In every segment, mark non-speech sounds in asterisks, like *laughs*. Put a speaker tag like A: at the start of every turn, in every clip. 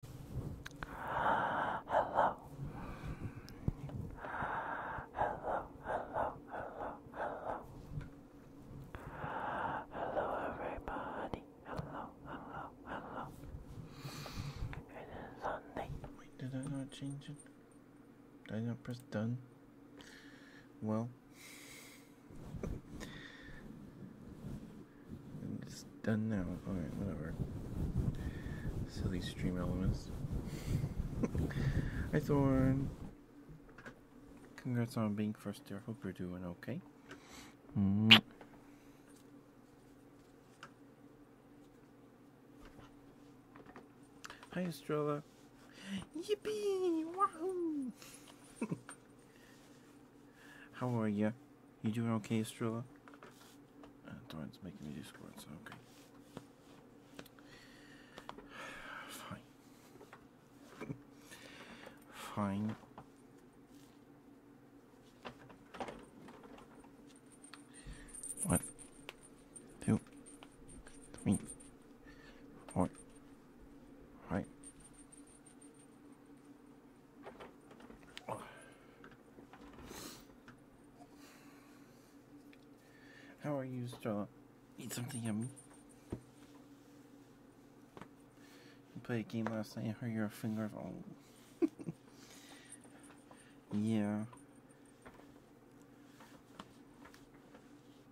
A: Hello. Hello, hello, hello, hello. everybody. Hello, hello, hello. It is Sunday. did I not change it? Did I not press done? Well. It's done now. Alright, whatever. Silly stream elements. *laughs* Hi, Thorn. Congrats on being first there. Hope you're doing okay. Mm-hmm. Hi, Estrella.
B: Yippee! Wahoo!
A: *laughs* How are you? You doing okay, Estralla? Uh, Thornton's making me do squats. Okay. *sighs* Fine. *laughs* Fine. One, two, three, four, five, how are you, Stella? Eat something yummy. You played a game last night and hurt your fingers. *laughs* Oh. yeah.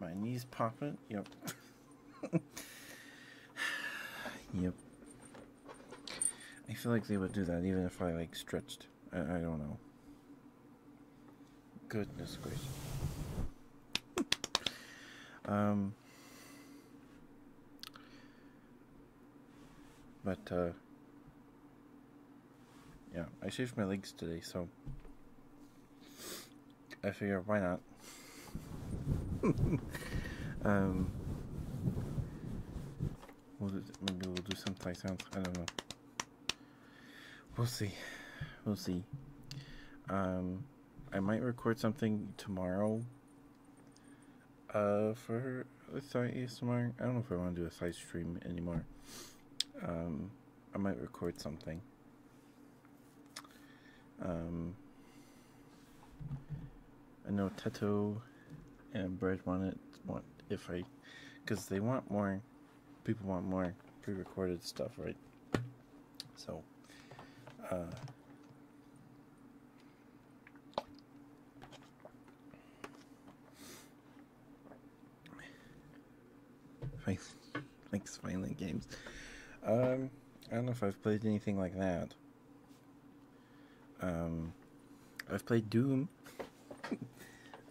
A: My knees popping? Yep. *laughs* yep. I feel like they would do that even if I like stretched. I, don't know. Goodness gracious. um. But uh. Yeah, I shaved my legs today, so I figure why not. *laughs* um. We'll do, maybe we'll do some tight sounds. I don't know. We'll see. We'll see. Um, I might record something tomorrow. Uh, for site ASMR. I don't know if I want to do a side stream anymore. Um, I might record something. Um, I know Teto and Bread want it want if I because they want more people want more pre-recorded stuff right so uh Thanks, Violent Games. Um, I don't know if I've played anything like that. Um, I've played Doom *laughs*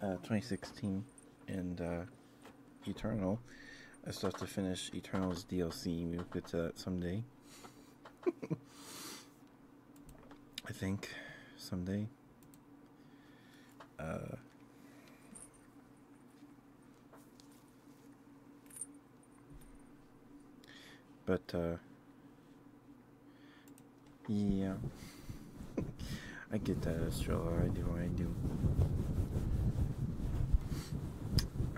A: uh, 2016 and uh, Eternal. I still have to finish Eternal's DLC. We'll get to that someday. *laughs* I think someday. Uh, but uh, yeah. I get that, Estrella. I do, I do.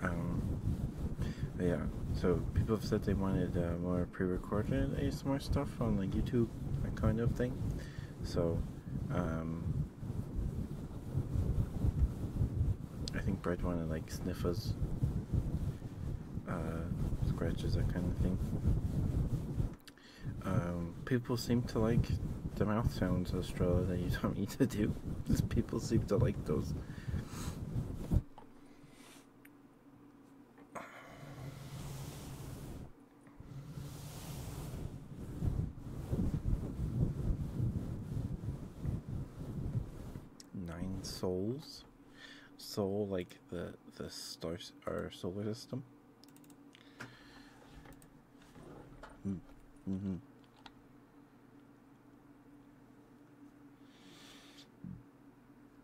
A: Um, yeah, so people have said they wanted uh, more pre recorded ASMR stuff on like YouTube, kind of thing. So, um, I think Brett wanted like sniffers. Uh, scratches, that kind of thing. Um, people seem to like the mouth sounds, of Australia, that you taught me to do. Just people seem to like those. Nine souls. So, like the the stars our solar system. Mm -hmm. Mm-hmm.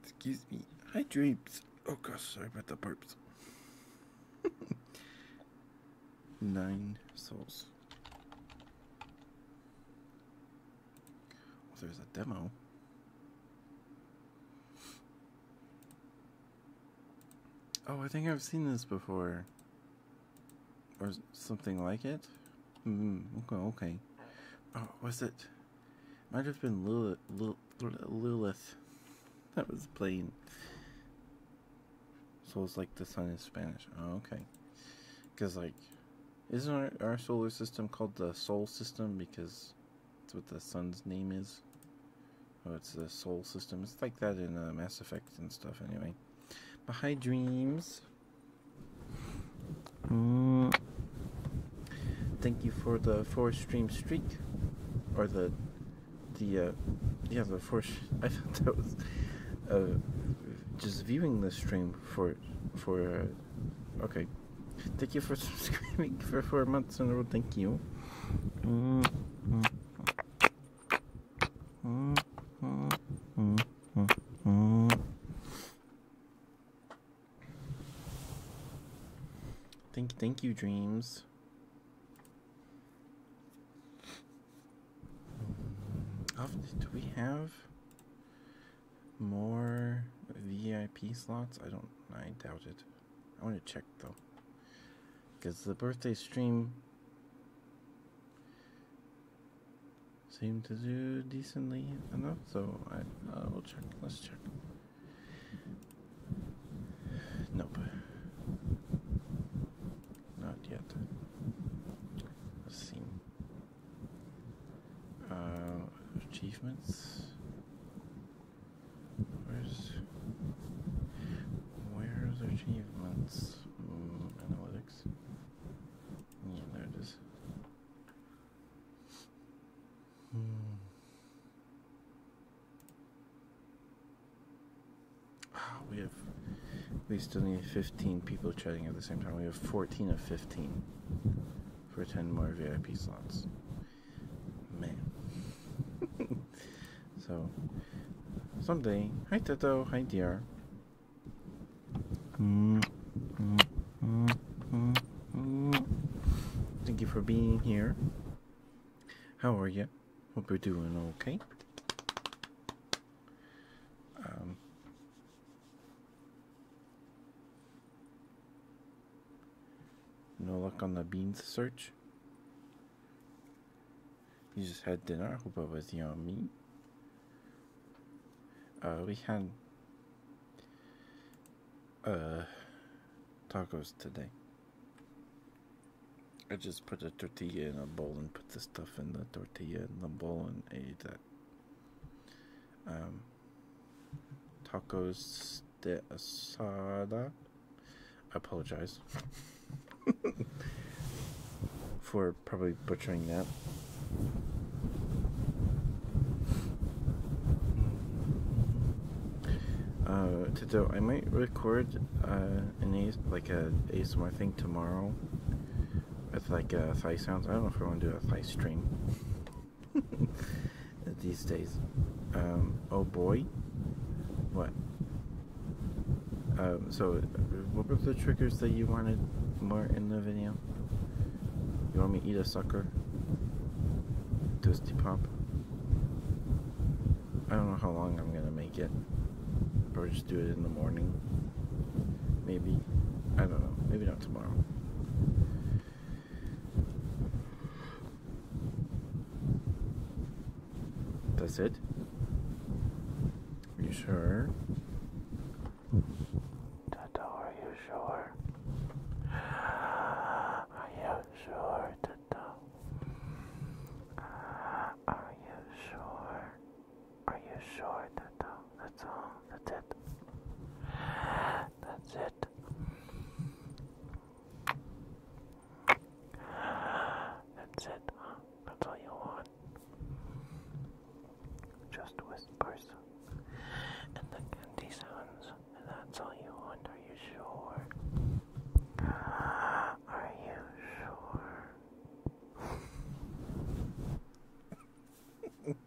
A: Excuse me. I dreams. Oh gosh, sorry about the burps. *laughs* Nine souls. Well, there's a demo. Oh, I think I've seen this before. Or something like it? Mm, okay, okay. Oh, was it? Might have been Lilith. Lilith. That was plain. So it's like the sun is Spanish. Oh, okay. Because, like, isn't our, our solar system called the Sol system because that's what the sun's name is. Oh, it's the soul system. It's like that in uh, Mass Effect and stuff, anyway. But hi, dreams. Mm. Thank you for the four stream streak, or the the uh, yeah the four. *laughs* I thought that was uh, just viewing the stream for for uh, okay Thank you for *laughs* subscribing for four months and a row. Thank you. Mm -hmm. Mm -hmm.
B: -hmm.
A: Thank, thank you, dreams. Do we have more VIP slots? I don't, I doubt it. I want to check though. Because the birthday stream seemed to do
C: decently enough, so I will check. Let's check.
A: Nope. Not yet. Let's see. Uh, achievements. Where's where's achievements? Mm, analytics. Yeah, there it is. Hmm. Oh, we have we still need 15 people chatting at the same time. We have 14 of 15 for 10 more VIP slots. Man. *laughs* so, someday. Hi, Toto. Hi, dear.
B: Mm -hmm.
A: -hmm. -hmm. Thank you for being here. How are you? Hope you're doing okay. Um, no luck on the beans search. You just had dinner. Hope it was yummy. Uh, we had uh, tacos today. I just put a tortilla in a bowl and put the stuff in the tortilla in the bowl and ate that. Um, tacos de asada. I apologize *laughs* for probably butchering that. Uh, to I might record uh, an ace, like a ASMR thing tomorrow with like a uh, thigh sounds. I don't know if I want to do a thigh stream. *laughs* these days. Um, oh boy. What? Um, so, what were the triggers that you wanted more in the video? You want me to eat a sucker? Dusty Pop? I don't know how long I'm gonna make it. Or just do it in the morning. Maybe. I don't know. Maybe not tomorrow. That's it? Are you sure?
D: Toto, are you sure? Are you sure, Toto? Are you sure? Are you sure, Toto? That's all. That's it. That's it. That's it. That's all you want. Just whispers and the candy sounds. That's all you want. Are you sure? Are you
C: sure? *laughs*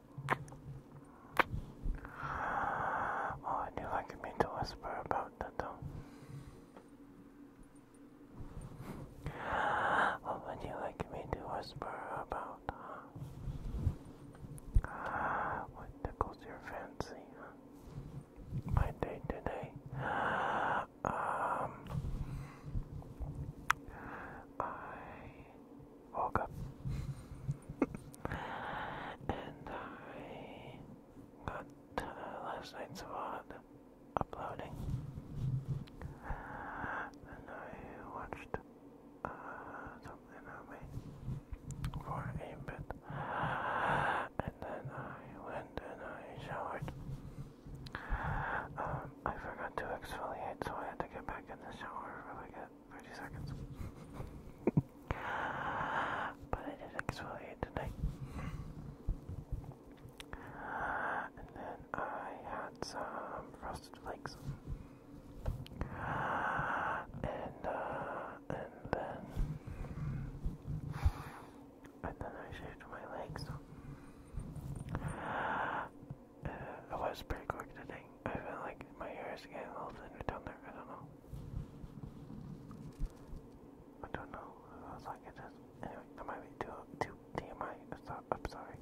D: Oh, you like me to whisper about that What would you like me to whisper about, huh? What tickles your fancy, My day today? Um... I woke up *laughs* and I got uh, last night's VOD uploading and I watched uh, something on for a bit and then I went and I showered. Um, I forgot to exfoliate so I had to get back in the shower really good minute, 30 seconds. but I did exfoliate today. And then I had some frosted flakes. And uh, and then and then I shaved my legs. Uh, was pretty quick today. I feel like my hair is getting a little thinner down there. I don't know. I don't know. I was like, it just. Anyway, that might be too, too TMI. I'm, so, I'm sorry.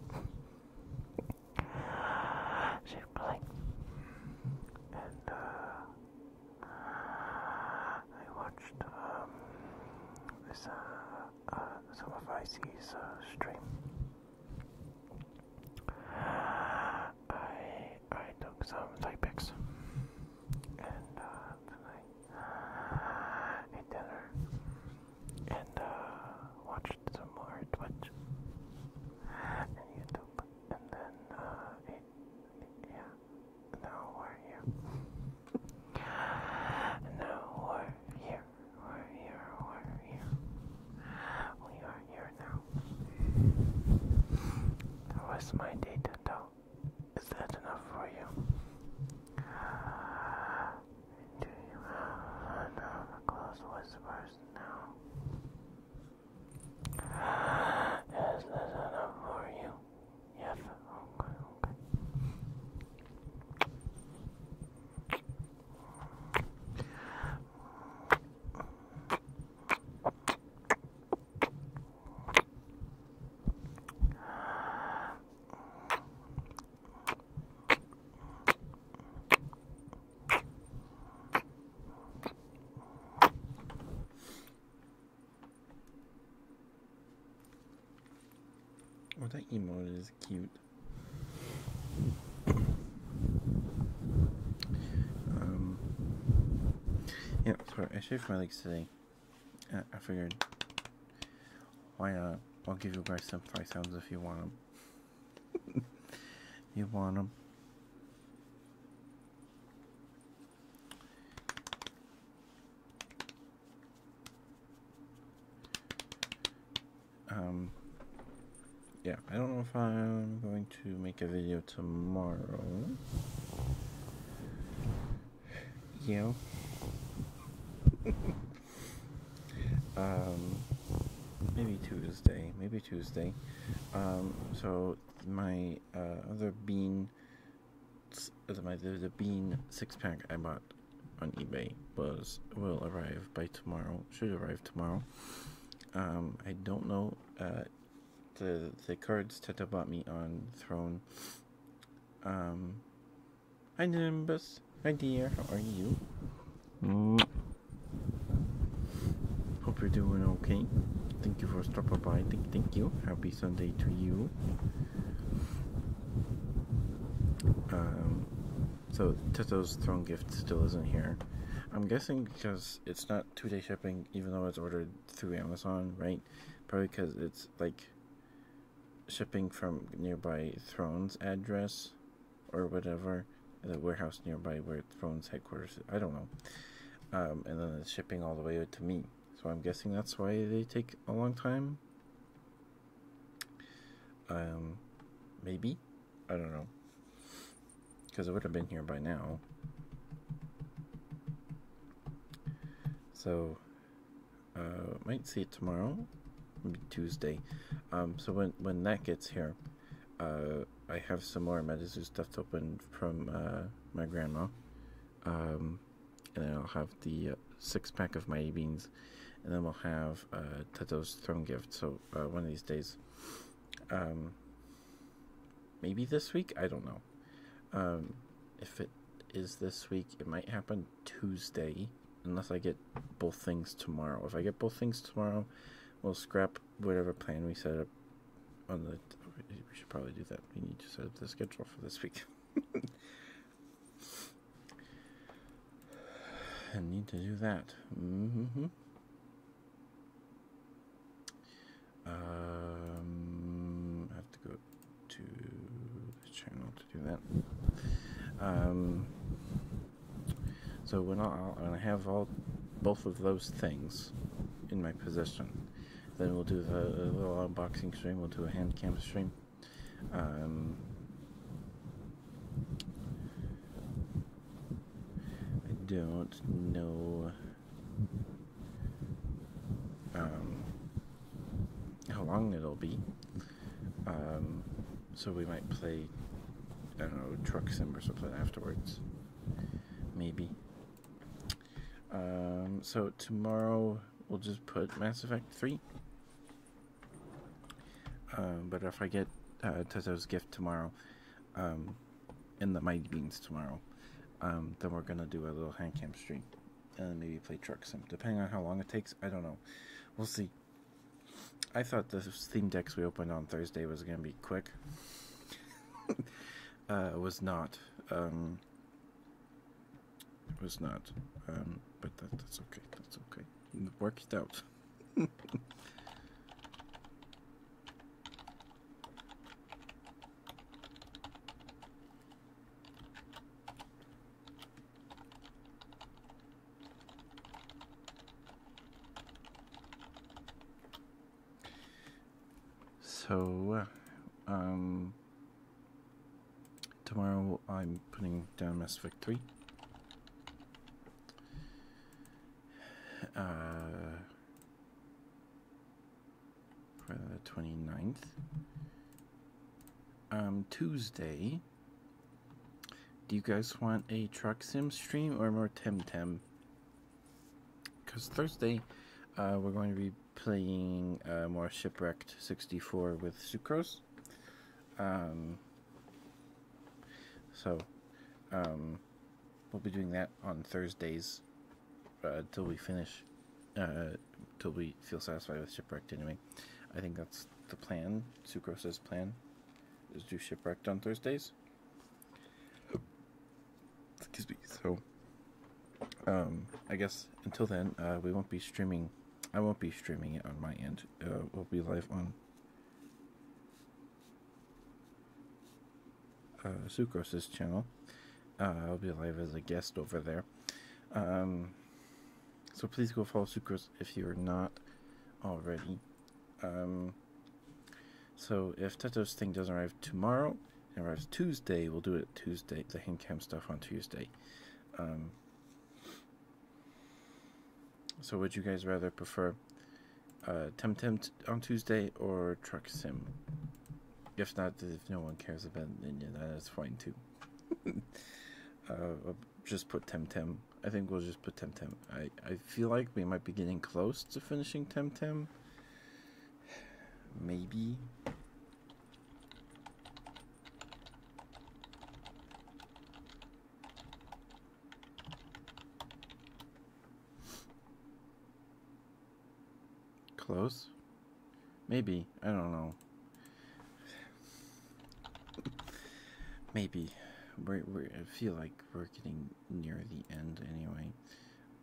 D: *sighs* She's blank. And, uh. I watched, um. This, uh. uh some of IC's, uh, stream. I I took some Typex and uh, ate dinner and uh, watched some more Twitch and YouTube and then uh, yeah now we're here now we're here we're here we're here we are here now. What's my data though? Is that enough for you? Do you have enough close whispers
A: now? Is that enough for you? Yes, okay. Oh, that emoji is cute. Um, yeah, sorry, I shaved my legs today. I figured, why not? I'll give you guys some fry sounds if you want them. *laughs* you want them. Um, yeah, I don't know if I'm going to make a video tomorrow. Yeah. *laughs* um, maybe Tuesday. Maybe Tuesday. Um, so my uh, other bean, my the, the bean six pack I bought on eBay was will arrive by tomorrow. Should arrive tomorrow. Um, I don't know uh, that the the Kurds bought me on throne. Um, hi Nimbus, hi dear, how are you? Mm. Hope you're doing okay. Thank you for stopping by. Thank, thank you. Happy Sunday to you. Um, so Teto's throne gift still isn't here. I'm guessing because it's not two day shipping, even though it's ordered through Amazon, right? Probably because it's like shipping from nearby Throne's address or whatever, the warehouse nearby where Throne's headquarters. I don't know. Um, and then it's shipping all the way to me. So I'm guessing that's why they take a long time. Um, maybe, I don't know. Because it would have been here by now. So, uh, might see it tomorrow, Tuesday. Um, so when when that gets here, uh, I have some more Medizu stuff to open from uh, my grandma, um, and then I'll have the uh, six pack of my beans, and then we'll have uh, Tato's throne gift. So one of these days, um, maybe this week. I don't know. Um, if it is this week, it might happen Tuesday, unless I get both things tomorrow. If I get both things tomorrow, we'll scrap whatever plan we set up on the. We should probably do that. We need to set up the schedule for this week. *laughs* I need to do that. Mm-hmm. Um, I have to go to the channel to do that. Um, so when I, when I have all both of those things in my possession, then we'll do the little unboxing stream. We'll do a hand cam stream. Um, I don't know. Um, how long it'll be. Um, so we might play, I don't know, Truck Sim or something afterwards. Maybe. Um, so tomorrow we'll just put Mass Effect 3. but if I get uh, gift tomorrow, in the Mighty Beans tomorrow. Um, then we're gonna do a little hand cam stream and maybe play trucks. Sim, depending on how long it takes. I don't know. We'll see. I thought the theme decks we opened on Thursday was gonna be quick. *laughs* uh, was not. Um, it was not. Um, but that, that's okay. That's okay. It out. *laughs* So, um, tomorrow I'm putting down Mass Effect 3. Uh, for the 29th. Um, Tuesday. Do you guys want a truck sim stream or more Temtem? Because Thursday, uh, we're going to be playing uh, more Shipwrecked 64 with Sucrose. Um, so, um, we'll be doing that on Thursdays until uh, we finish, until uh, we feel satisfied with Shipwrecked anyway. I think that's the plan, says plan, is do Shipwrecked on Thursdays. Excuse me. So, um, I guess until then, uh, we won't be streaming. I won't be streaming it on my end. Uh, we'll be live on uh, Sucrose's channel. Uh, I'll be live as a guest over there. Um, so please go follow Sucrose if you're not already. Um, so if Tato's thing doesn't arrive tomorrow, it arrives Tuesday, we'll do it Tuesday, the Hincam stuff on Tuesday. Um, so would you guys rather prefer Temtem uh, on Tuesday or Truck Sim. If not, if no one cares about then yeah, that is fine too. *laughs* Uh, just put Temtem. I think we'll just put Temtem. I, I feel like we might be getting close to finishing Temtem. *sighs* Maybe. Close? Maybe. I don't know. Maybe. we we I feel like we're getting near the end anyway.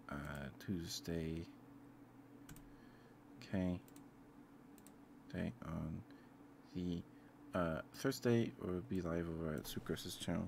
A: Uh, Tuesday. Okay. Okay. on the uh, Thursday we will be live over at Sucrosis channel.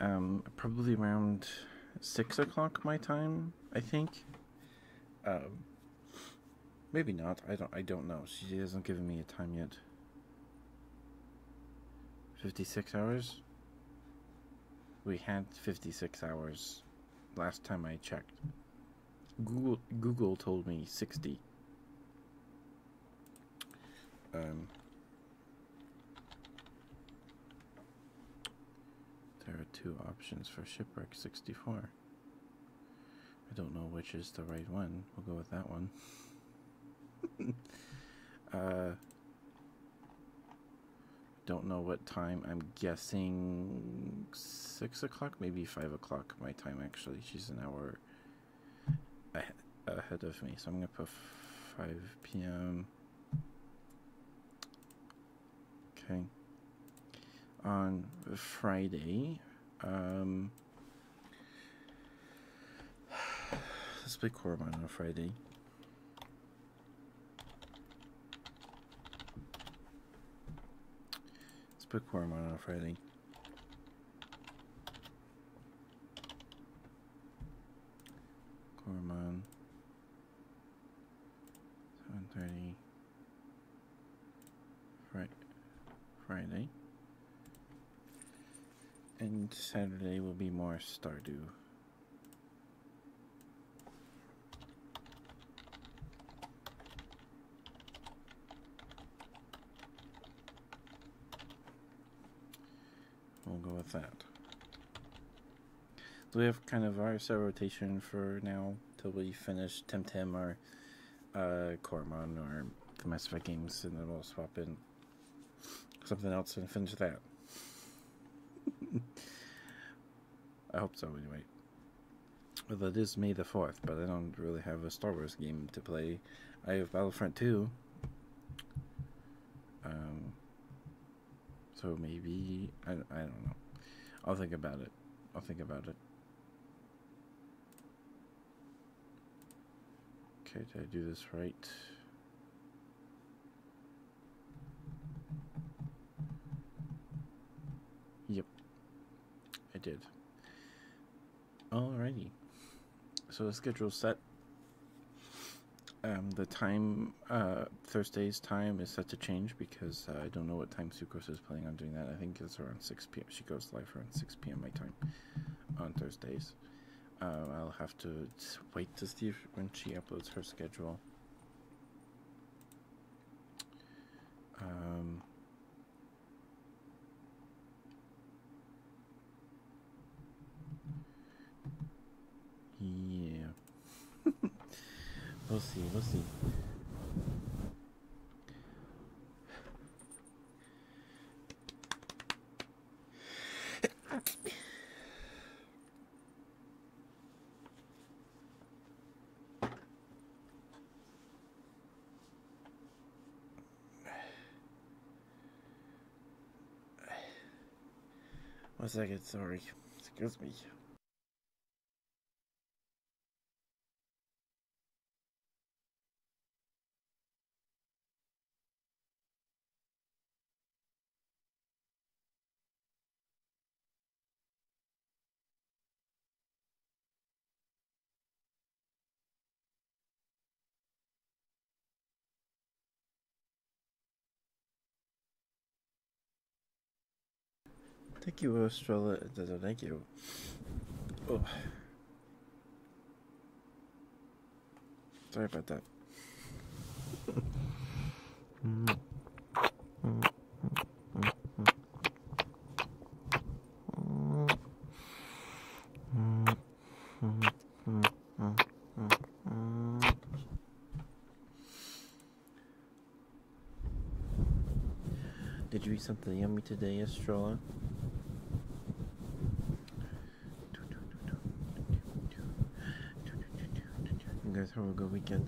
A: um, probably around six o'clock my time, I think. Um, maybe not. I don't. I don't know. She hasn't given me a time yet. Fifty-six hours. We had fifty-six hours last time I checked. Google Google told me sixty. Um, there are two options for shipwreck 64. I don't know which is the right one. We'll go with that one. *laughs* Uh, don't know what time. I'm guessing 6 o'clock, maybe 5 o'clock my time actually. She's an hour ahead of me. So I'm going to put 5 p.m okay. On Friday, um, let's play Coromon on Friday. Let's play Coromon on Friday. Coromon. Seven thirty. Fri Friday. And Saturday will be more Stardew. We'll go with that. So we have kind of our set rotation for now till we finish Temtem or uh, Cormon or the Mass Effect games, and then we'll swap in something else and finish that. *laughs* I hope so, anyway. Well, it is May the 4th, but I don't really have a Star Wars game to play. I have Battlefront 2. Um, so maybe I I don't know. I'll think about it. I'll think about it. Okay, did I do this right? Yep, I did. Alrighty. So the schedule's set. Um, the time, uh, Thursday's time is set to change because uh, I don't know what time Sucrose is planning on doing that. I think it's around 6 p.m. She goes live around 6 p.m. my time on Thursdays. Uh, I'll have to wait to see when she uploads her schedule. Um, yeah. *laughs* we'll see, we'll see. One second, sorry. Excuse me. Thank you, uh, Estrella. Thank you. Oh. Sorry about that. *laughs* Did you eat something yummy today, Estrella? You guys have a good weekend.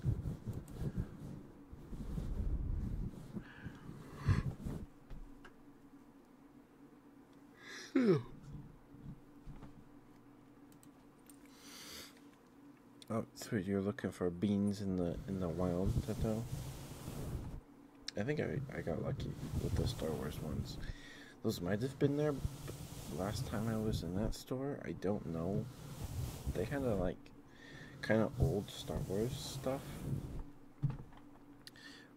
A: *laughs* Oh, so You're looking for beans in the in the wild, I think I I got lucky with the Star Wars ones. Those might have been there last time I was in that store. I don't know. They had a like kind of old Star Wars stuff.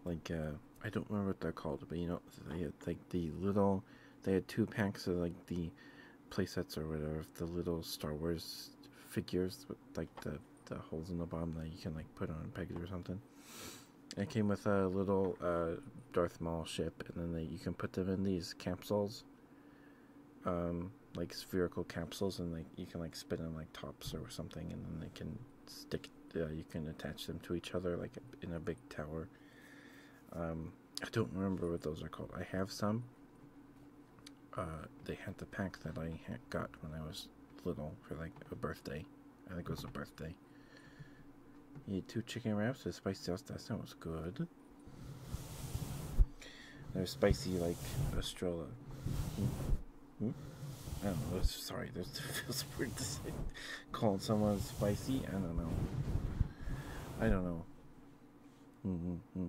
A: Like uh, I don't remember what they're called, but you know, like the little they had two packs of like the playsets or whatever the little Star Wars figures with like the the holes in the bottom that you can like put on pegs or something. it came with a little uh, Darth Maul ship, and then they, you can put them in these capsules, um, like spherical capsules, and like you can like spin them like tops or something, and then they can stick. Uh, you can attach them to each other like in a big tower. Um, I don't remember what those are called. I have some. Uh, they had the pack that I got when I was little for like a birthday. I think it was a birthday. You had two chicken wraps with spicy sauce. That sounds good. They're spicy like Estrella. Hmm? Hmm? I don't know. Sorry, this *laughs* feels weird to say. Calling someone spicy. I don't know. I don't know. Mm -hmm.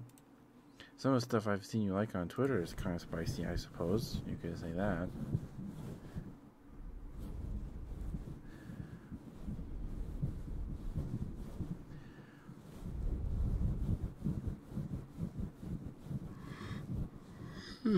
A: Some of the stuff I've seen you like on Twitter is kind of spicy, I suppose. You could say that. Hmm.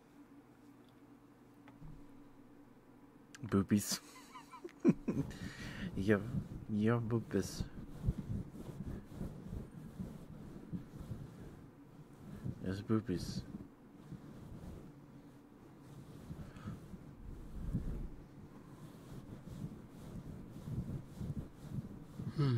A: Boobies. your, *laughs* your boobies. There's boobies.
B: Hmm.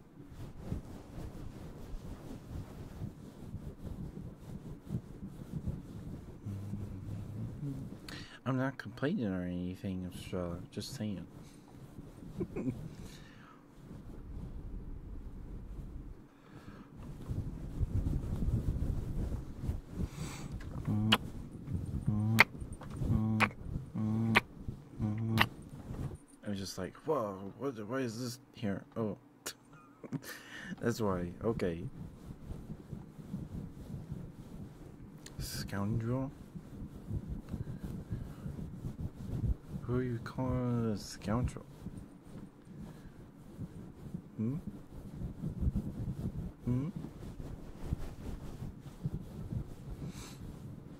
A: I'm not complaining or anything, so uh, just saying. I'm just like, whoa, what, what is this here? Oh. *laughs* That's why. Okay. Scoundrel? Who you call a scoundrel? Hmm? Hmm?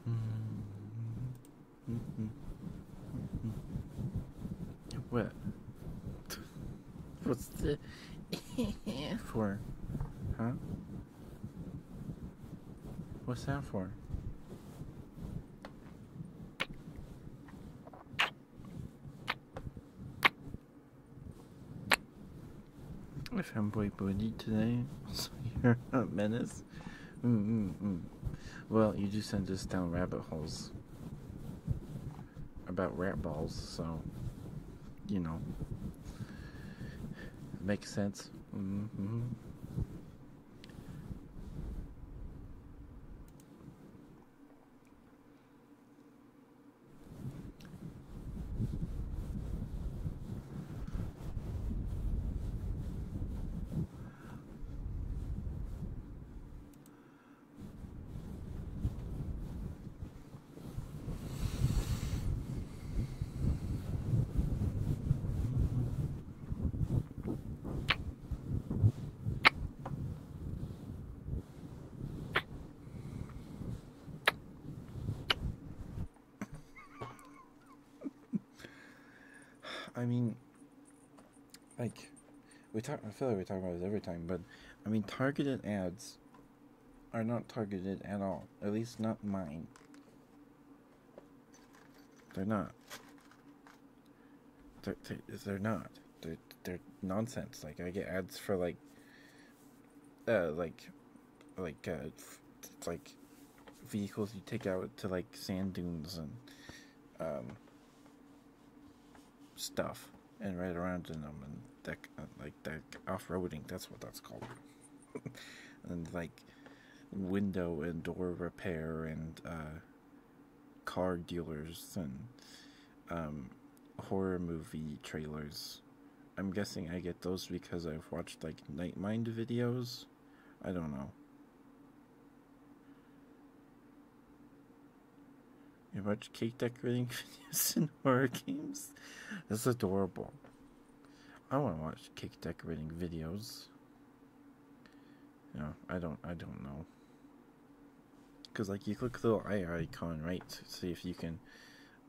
A: hmm. What? What's the
B: *laughs*
A: for? Huh? What's that for? I found Boy Booty today, *laughs* so you're a menace. Mm, mm, mm. Well, you just send us down rabbit holes about rat balls, so you know, makes sense. Mm-hmm. I mean, like we talk I feel like we talk about this every time, but I mean targeted ads are not targeted at all. At least not mine. They're not. They're, they're, not. they they're nonsense. Like I get ads for like, uh, like, like uh, like vehicles you take out to like sand dunes and um, stuff and right around them and like that off-roading that's what that's called *laughs* and like window and door repair and uh, car dealers and um, horror movie trailers i'm guessing i get those because i've watched like night mind videos i don't know you watch cake decorating videos *laughs* and horror games? That's adorable. I want to watch cake decorating videos. No, I don't. I don't know. Cause like you click the little eye icon right to see if you can,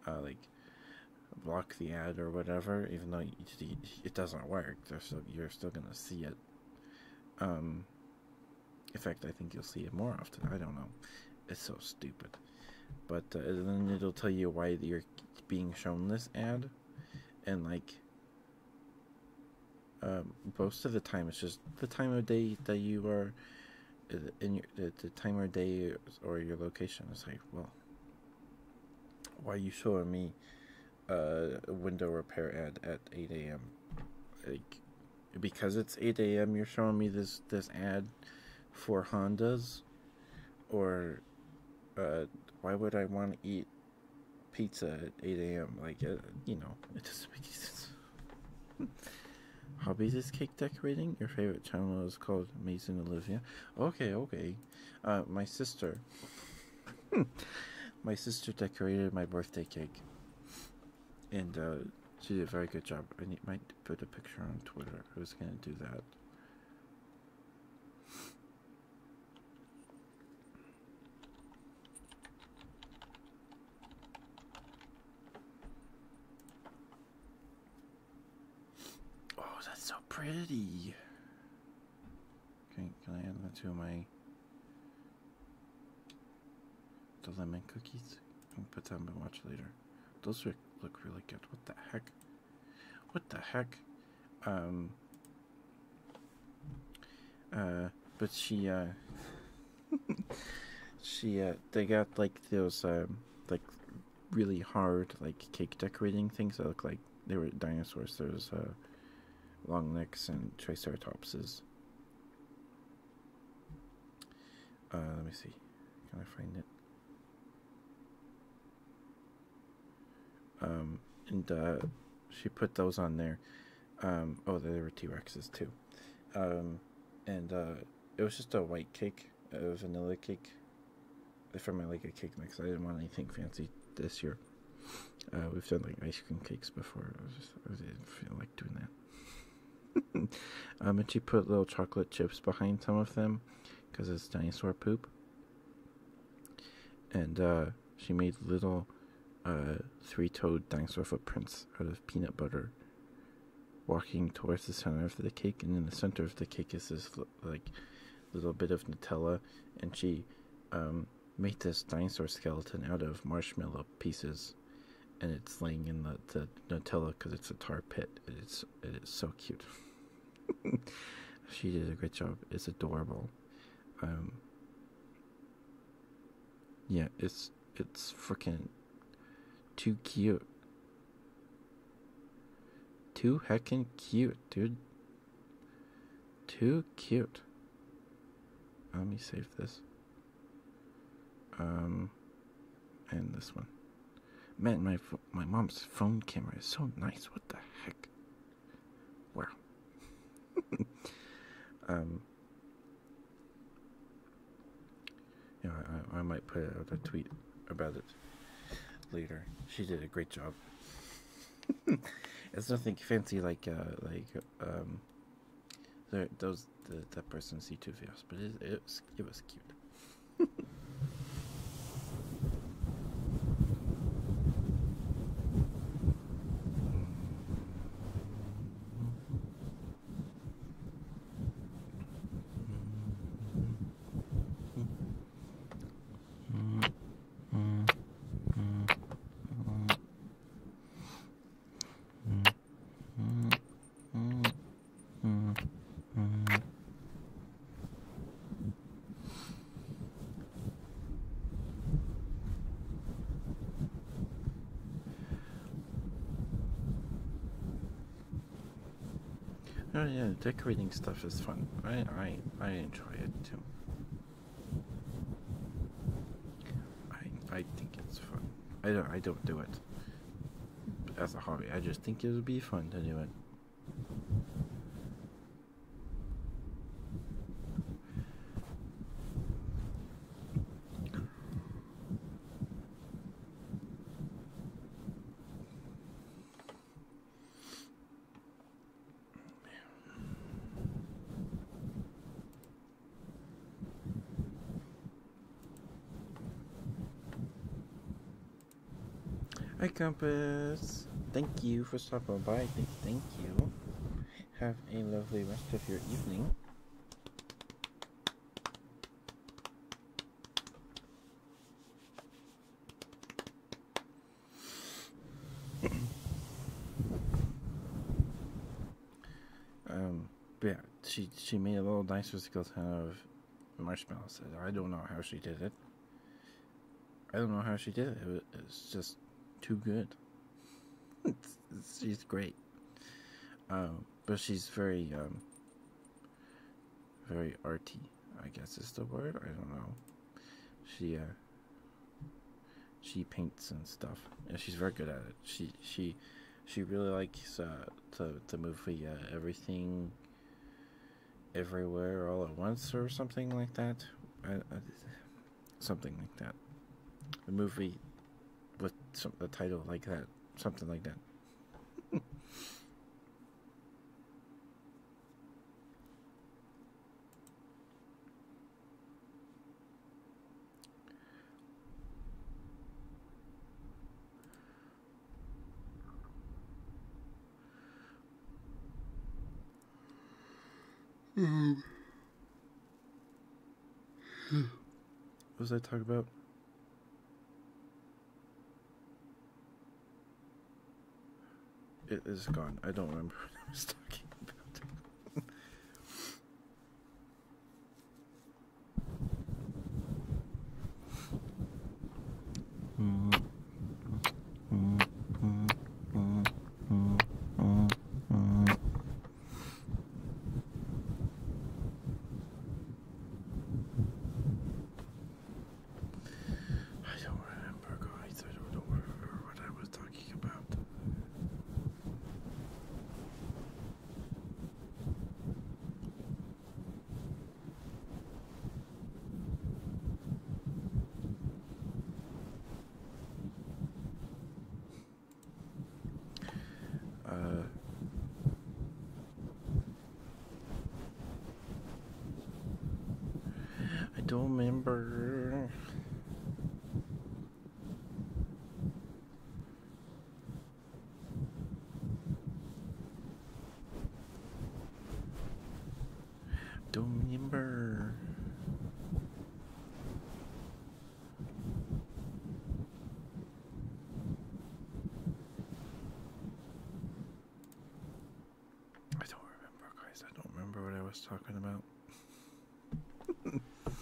A: uh, like, block the ad or whatever. Even though it doesn't work, you're still gonna see it. Um, in fact, I think you'll see it more often. I don't know. It's so stupid. But uh, then it'll tell you why you're being shown this ad. And like, um, most of the time, it's just the time of day that you are uh, in the time or day or your location. It's like, well, why are you showing me uh, window repair ad at 8 a.m. Like, because it's 8 a.m. You're showing me this this ad for Hondas, or uh, why would I want to eat pizza at 8 a.m.? Like, uh, you know, it doesn't make any sense. *laughs* Hobbies is cake decorating. Your favorite channel is called Amazing Olivia. Okay, okay. Uh, my sister Hmm. my sister decorated my birthday cake, and uh, she did a very good job. I need, might put a picture on Twitter. Who's gonna do that. Oh, that's so pretty. Okay, can I add that to my the lemon cookies? I'll put them in my watch later. Those look, look really good. What the heck? What the heck? Um. Uh, but she, uh. *laughs* she, uh, they got like those, um, like really hard, like cake decorating things that look like they were dinosaurs. There's, uh, long necks and triceratopses uh, let me see. Can I find it? Um, and uh, she put those on there. Um, oh, there were T Rexes too. Um, and uh, it was just a white cake, a vanilla cake. From my like a cake mix. I didn't want anything fancy this year. Uh, we've done like ice cream cakes before. I, didn't feel like doing that. *laughs* um, and she put little chocolate chips behind some of them because it's dinosaur poop. And uh, she made little uh, three toed dinosaur footprints out of peanut butter walking towards the center of the cake. And in the center of the cake is this like little bit of Nutella. And she um, make this dinosaur skeleton out of marshmallow pieces, and it's laying in the, Nutella because it's a tar pit. It's it's so cute. *laughs* she did a great job. It's adorable. Um, yeah, it's it's freaking too cute. Too heckin' cute, dude. Too cute. Let me save this. Um, and this one. Man, my my mom's phone camera is so nice. What the heck? Wow. *laughs* um. You I I might put out a tweet about it later. She did a great job. *laughs* it's nothing fancy like uh like um there, those that person see two videos, but it, it was it was cute. *laughs* *laughs* Oh yeah, decorating stuff is fun. I I I enjoy it too. I I think it's fun. I don't I don't do it as a hobby. I just think it would be fun to do it. Hi, Compass. Thank you for stopping by. Thank, thank you. Have a lovely rest of your evening. Um, but yeah, she she made a little nice physical ton of marshmallows. I don't know how she did it. I don't know how she did it. It's just too good. *laughs* she's great. Um, but she's very, um, very arty, I guess is the word. I don't know. She, uh, she paints and stuff. and she's very good at it. She she she really likes uh, to the movie everything everywhere all at once or something like that. I, something like that. A movie with some a title like that, something like that. Mm-hmm. what was I talking about? It is gone. I don't remember *laughs* what I was talking about. I
B: don't remember, guys. I don't know what I was talking about.
A: Uh, I don't remember. Don't remember. I don't remember, guys. I don't remember what I was talking about. *laughs*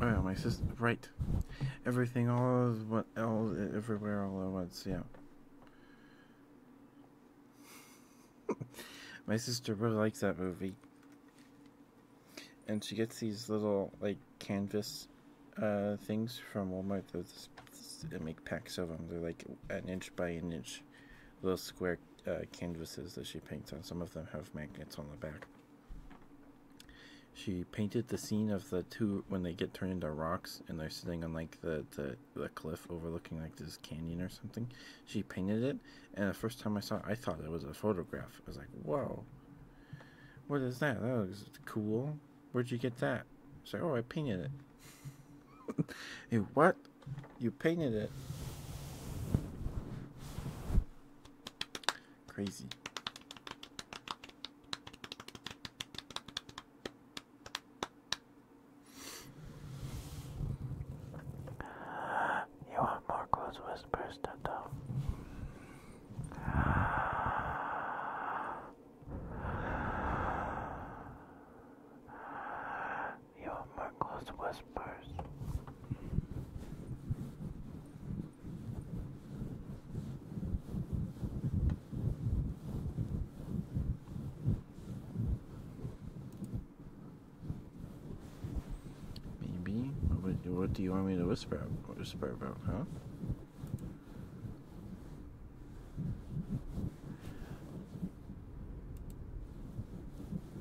A: Oh, my sister. Right. Everything all is what all everywhere all at once. Yeah. *laughs* my sister really likes that movie. And she gets these little like canvas uh, things from Walmart. They make packs of them. They're like an inch by an inch, little square uh, canvases that she paints on. Some of them have magnets on the back. She painted the scene of the two when they get turned into rocks and they're sitting on like the, the, the cliff overlooking like this canyon or something. She painted it, and the first time I saw it, I thought it was a photograph. I was like, whoa, what is that? That looks cool. Where'd you get that? She's like, oh, I painted it. *laughs* hey, what? You painted it. Crazy. You want
D: more close whispers, Toto? your Merkle's whispers.
A: Maybe. What, what do you want me to whisper? Whisper about, huh?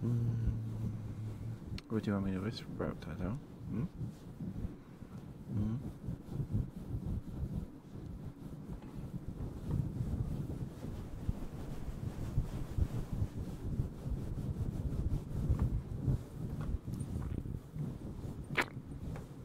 A: Hmm. What do you want me to whisper about, Tato?
B: Hmm? Hmm?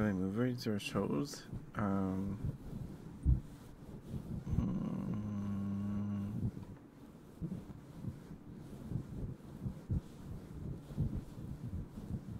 A: Okay, movies or shows? Um, hmm.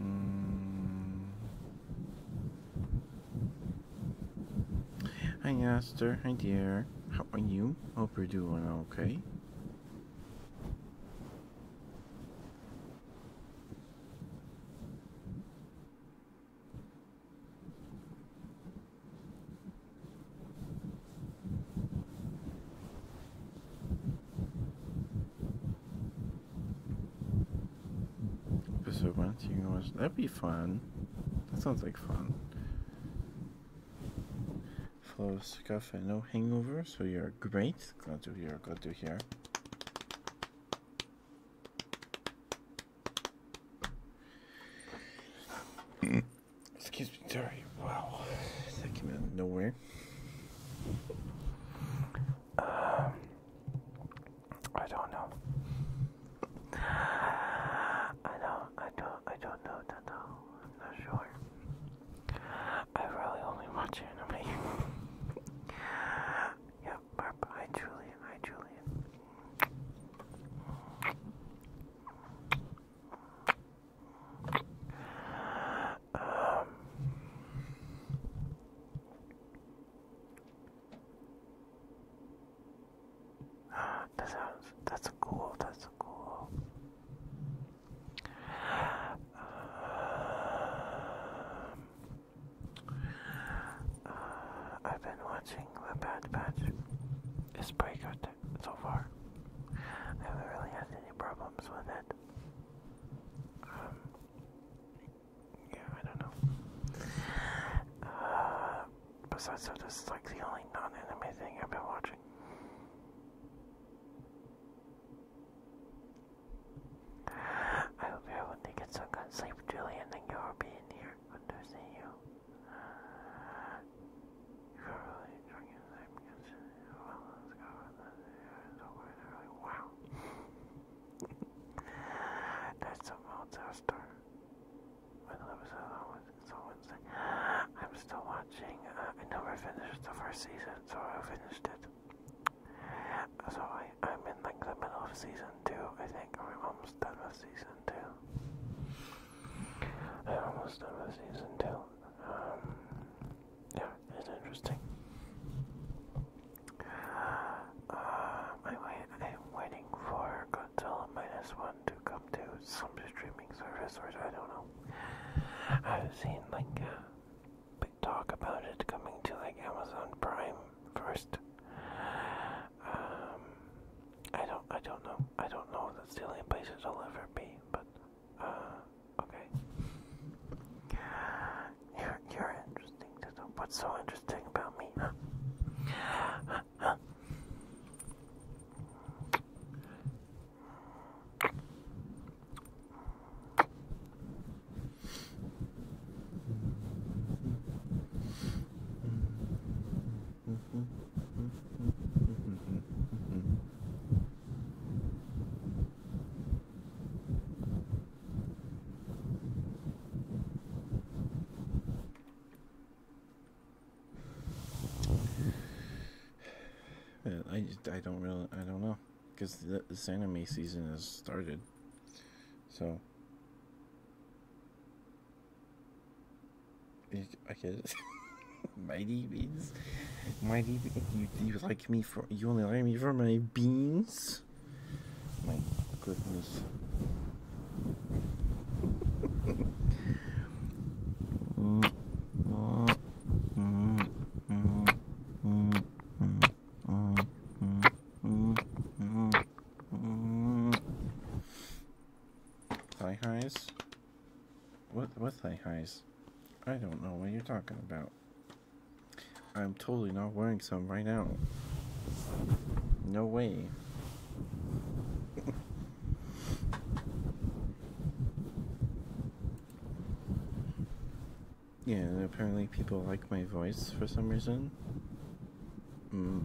A: Mm. Hi, Esther. Hi, dear. How are you? Hope you're doing okay. So why you watch? That'd be fun. That sounds like fun. Flow scuff and no hangover, so you're great. Glad to hear, glad to hear. Excuse me, sorry. Wow, that came out of nowhere. Um, I don't know. I
D: don't. I don't. I don't know that though. I'm not sure. I really only watch anime. *laughs* yeah, Barb. Hi, Julian. Hi, Julian. Um, that sounds, that's cool, that's cool. Um, uh, I've been watching The Bad Batch. It's pretty good so far. I haven't really had any problems with it. Um, yeah, I don't know. Uh, besides that, this is like the only non-anime thing I've been watching. I hope you're able to get some good sleep, Julian, and you'll be in here. Understand you really enjoying your time because, well, let's go. It's over there. Wow. There's some Mozart store. With episode it's on Wednesday. I'm still watching. Uh, I never finished the first season, so I finished it. So I'm in like the middle of season two, I think. I'm almost done with season two. almost done with season two. Um, yeah, it's interesting. Uh, I am waiting for Godzilla minus one to come to some streaming service, or I don't know. I've seen like uh, big talk about it coming to like Amazon Prime first. Um, I don't I don't know. I don't know if that's the only place it'll ever be, but uh okay. You're you're interesting What's so interesting about me,
A: I just, I don't really I don't know because this anime season has started, so I guess. *laughs* mighty beans. Mighty beans. You, you like me for. You only like me for my beans? My goodness.
B: *laughs*
A: Hi, highs. What what thigh highs? I don't know what you're talking about. I'm totally not wearing some right now. No way. *laughs* yeah, apparently people like my voice for some reason. Mm.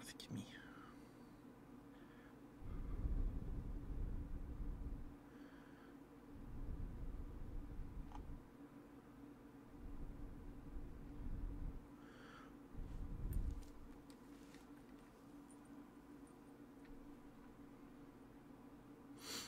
B: I think me.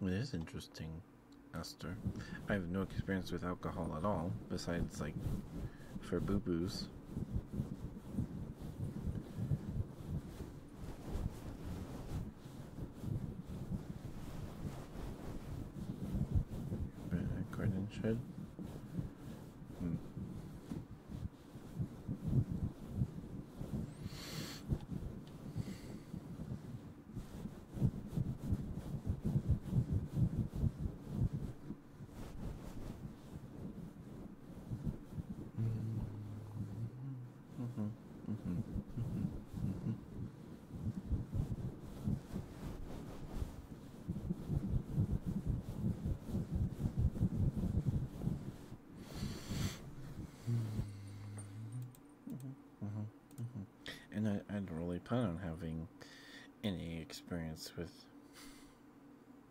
A: It is interesting, Esther. I have no experience with alcohol at all, besides like for boo-boos. Garden shed. Hmm. And I, I'd really plan on having any experience with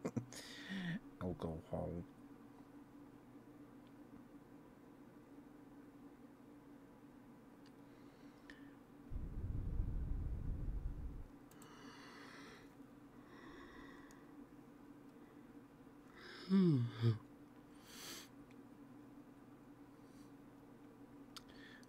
A: *laughs* alcohol. Hmm.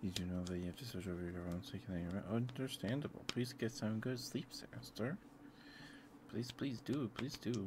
A: You do know that you have to switch over your own sleep. So Understandable. Please get some good sleep, sir. Please, please do. Please do.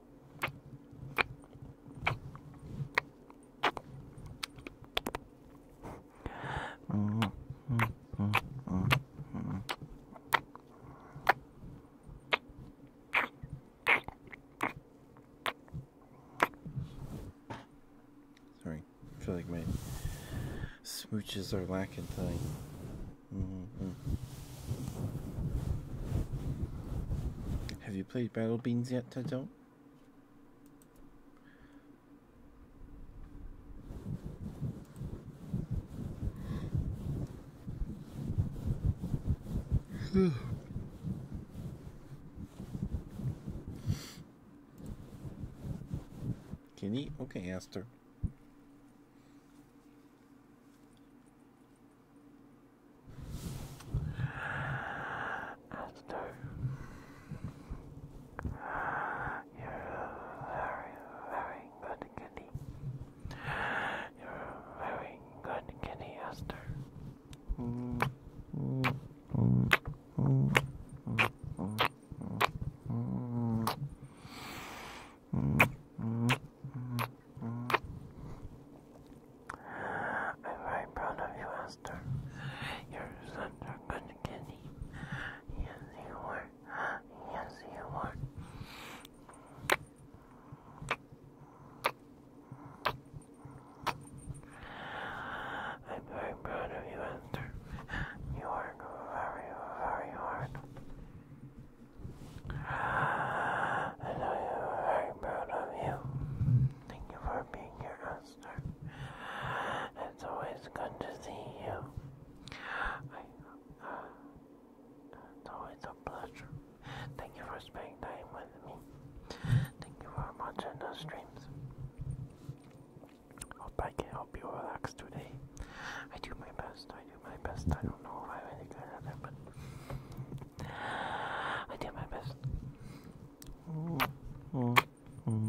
B: Mm -hmm. Mm -hmm. -hmm.
A: Sorry, I feel like my smooches are lacking tonight. -hmm. Have you played Battle Beans yet, Tato? Kenny, Okay, Esther. Esther,
B: you're very, very good kitty. You're very good kitty, Esther. I'm
D: very proud of you, Esther. You're such a good kitty. Yes, you are. Yes, you are. I'm very proud of you, Esther. You work very, very hard. I know you're very proud of you. Thank you for being here, Esther. It's always good to see you. Uh, it's always a pleasure. Thank you for spending time with me. Thank you for watching the streams. Hope I can help you relax today. I do my best. I do my best. I don't know if I'm any good at it, but I do my best. Mm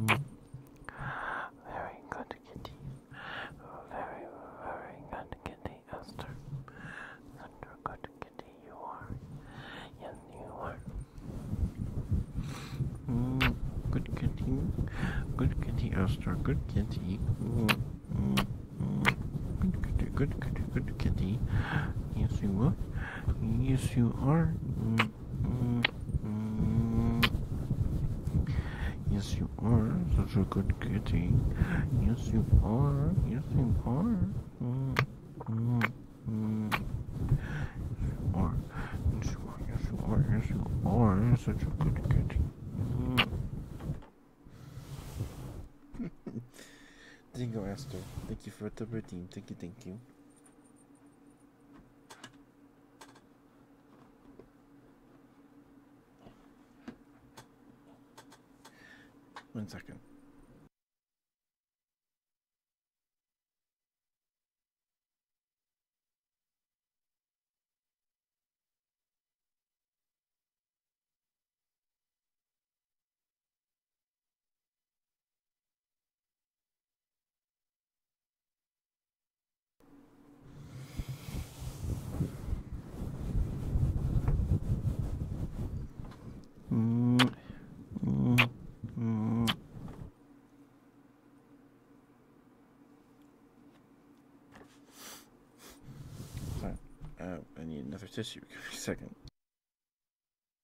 D: -hmm. Very good kitty.
C: Very, very good kitty, Esther. Such a good kitty you are. Yes, you are. Mm, good kitty. Good kitty, Esther. Good kitty. Mm, mm, mm. Good kitty, good kitty, good kitty. Yes, you are. Yes, you are. Yes, you are such a good kitty. Yes, you are. Yes, you are. Yes, you are. Yes, you are such a good kitty.
A: Thank you, Esther. Thank you for the team. Thank you, thank you. One second. Uh, I need another tissue. *laughs* Give me a second.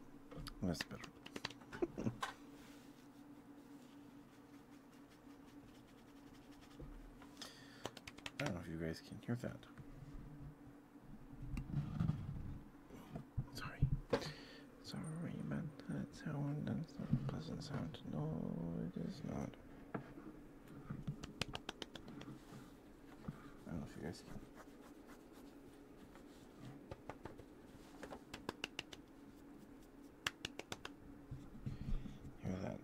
A: I don't know if you guys can hear that. Sorry. Sorry, man. That sound, that's not a pleasant sound. No, it is not. I
C: don't know if you guys can
B: Hear that?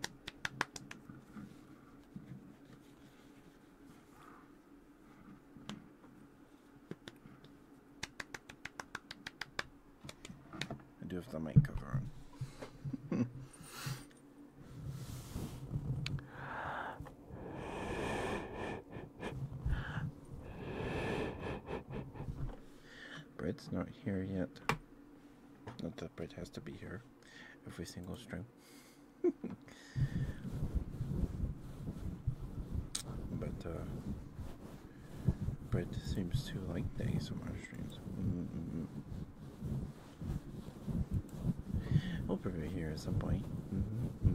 A: I do have the mic cover on. *laughs* Bread's not here yet. Not that bread has to be here every single string. *laughs* but uh Brett seems to like days ASMR our strings. -mm. Mm-hmm. We'll probably here at some point. Mm -hmm.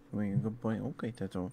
A: Make a good point. Okay, Tato.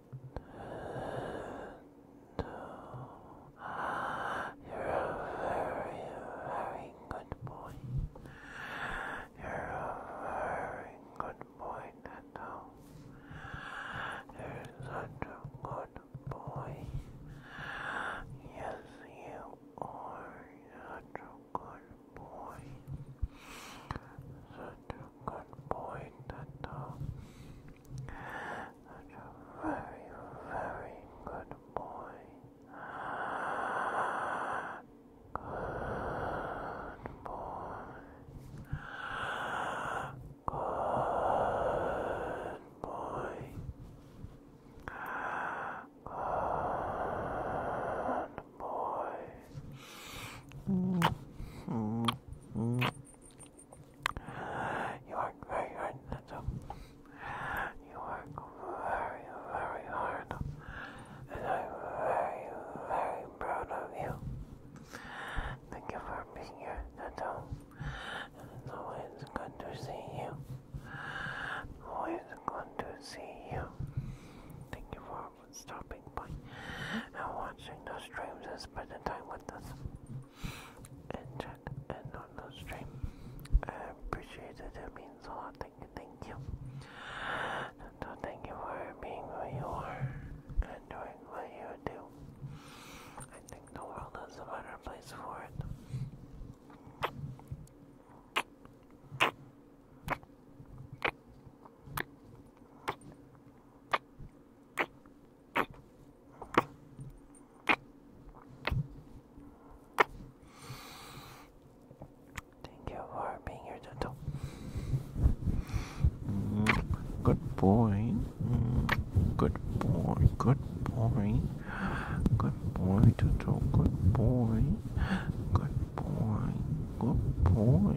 A: No.
B: You're a very, very good boy. You're a very good boy, Nando. You're such a good boy. Yes, you are such a good boy. Such a good boy, Nando. Such a very, very good boy. Good boy. Good boy. Good boy. Mm -hmm. -hmm. You work very hard, that's You work very, very hard, and
D: I'm very, very proud of you. Thank you for being here, that's all. And it's good to see you. Always good to see you. Thank you for stopping by and watching those streams and spending time with us and, and on the stream. I appreciate it, it means a lot. Thank you, thank you. So, uh, thank you for being who you are and doing what you do. I think the world is a better place for it.
C: Thank you for being here, Toto. Mm -hmm. Good boy. Mm -hmm. Good boy. Good boy. Good boy, Toto. Good boy. Good boy. Good boy.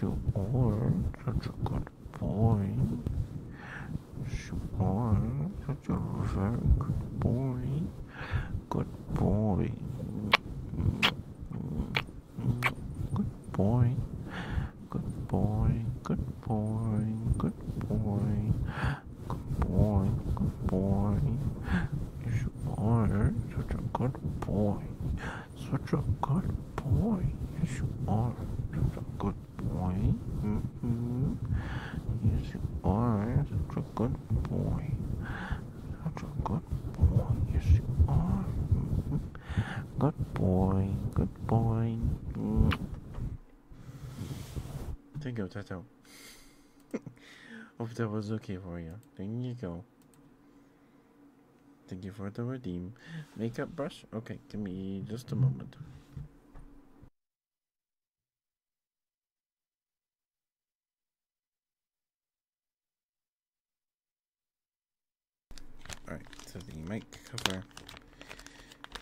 C: You are such a good boy. Good boy. Such a very good boy. Good boy. Good boy. Good boy. Good boy. Good boy. Good boy. Good boy. You are such a good boy. Such a good boy. Yes, you are. Such a good boy. Mm -hmm. Yes, you are. Such a good boy. Such a good boy. Yes, you are. Mm Good boy. Good boy. Mm. Mm-hmm.
A: There you go, Tato. *laughs* Hope that was okay for you. There you go. Thank you for the redeem. Makeup brush? Okay, give me just a moment.
C: Alright, so the mic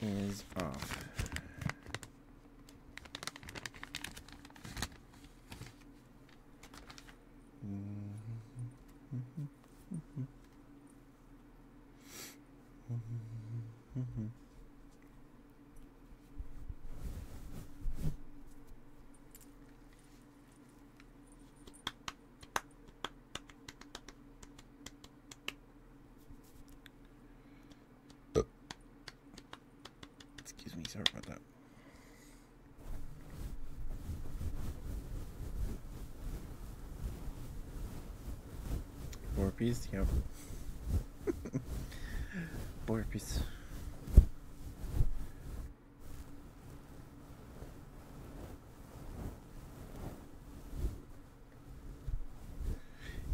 C: is off.
B: Mm-hmm. Mm-hmm. Mm-hmm.
A: Excuse me, sorry about that. Four piece, yep. Four *laughs*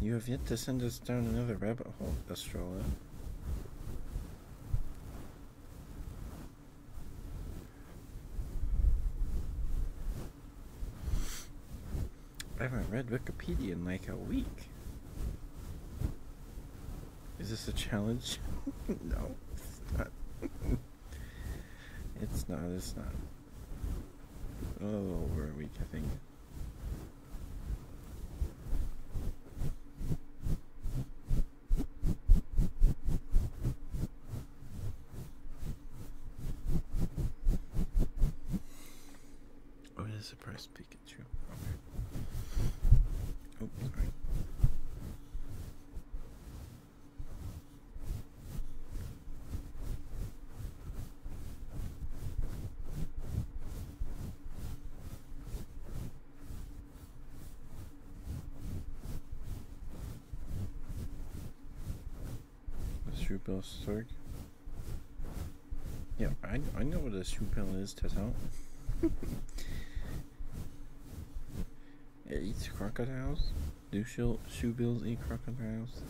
A: You have yet to send us down another rabbit hole, Astrola. I haven't read Wikipedia in like a week. Is this a challenge? *laughs* no, it's not. *laughs* it's not, it's not. A little over a week, I think. Oh, it is a price Pikachu. Okay. Oh, a shoe pill Sorg. Yeah, I, I know what a shoe pill is, Tato. it eats crocodiles? Do shoe, shoe bills eat crocodiles?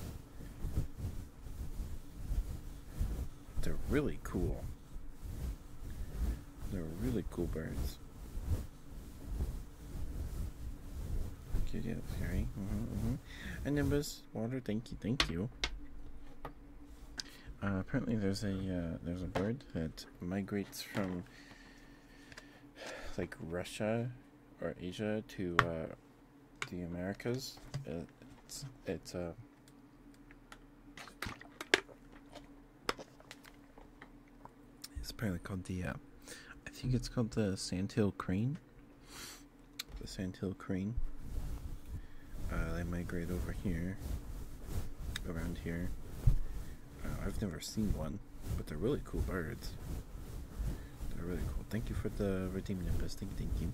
A: They're really cool. They're really cool birds. Okay, deal, Harry. Mm -hmm, mm -hmm. And Nimbus, water, thank you, thank you. Uh, apparently there's a uh, there's a bird that migrates from like Russia or Asia to uh, the Americas. It's it's a it's apparently called the, uh, I think it's called the Sandhill Crane. The Sandhill Crane. Uh, they migrate over here, around here. Uh, I've never seen one, but they're really cool birds. They're really cool. Thank you for the redeem nimbus. Thank, thank you.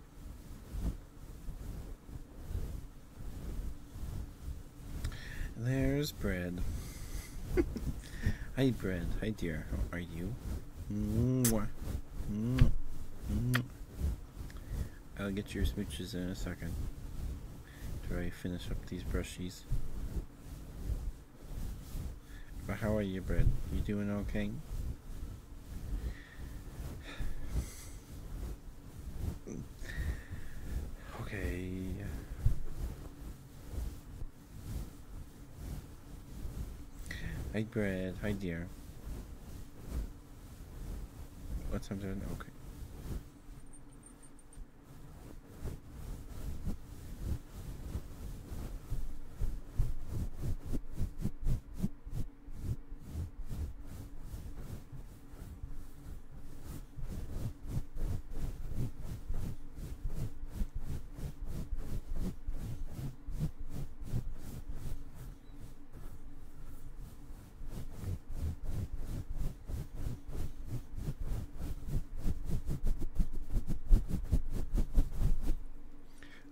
A: There's bread. Hi, *laughs* bread. Hi, dear. How are you? Mwah. Mwah. Mwah. I'll get your smooches in a second. After I finish up these brushies. But how are you, bread? You doing okay? Okay. Hi, Brad. Hi, dear. What's I'm doing? Okay.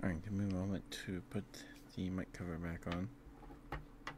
A: Alright, give me a moment to put the mic cover back on.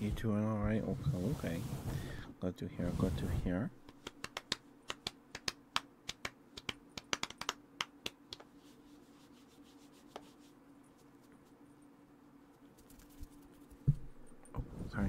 A: You two are alright? Okay, okay. Go to here, go to here. Oh, sorry.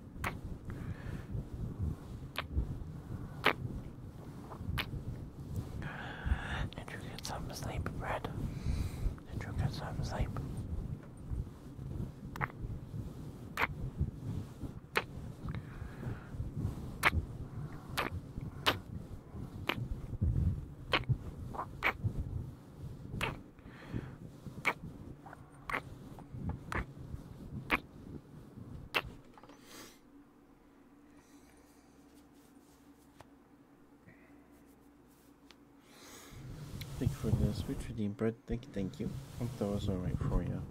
D: Did you get some sleep, Brad? Did you get some sleep?
A: Thank you for the We redeem bread. Thank you, thank you. I think that was alright for you.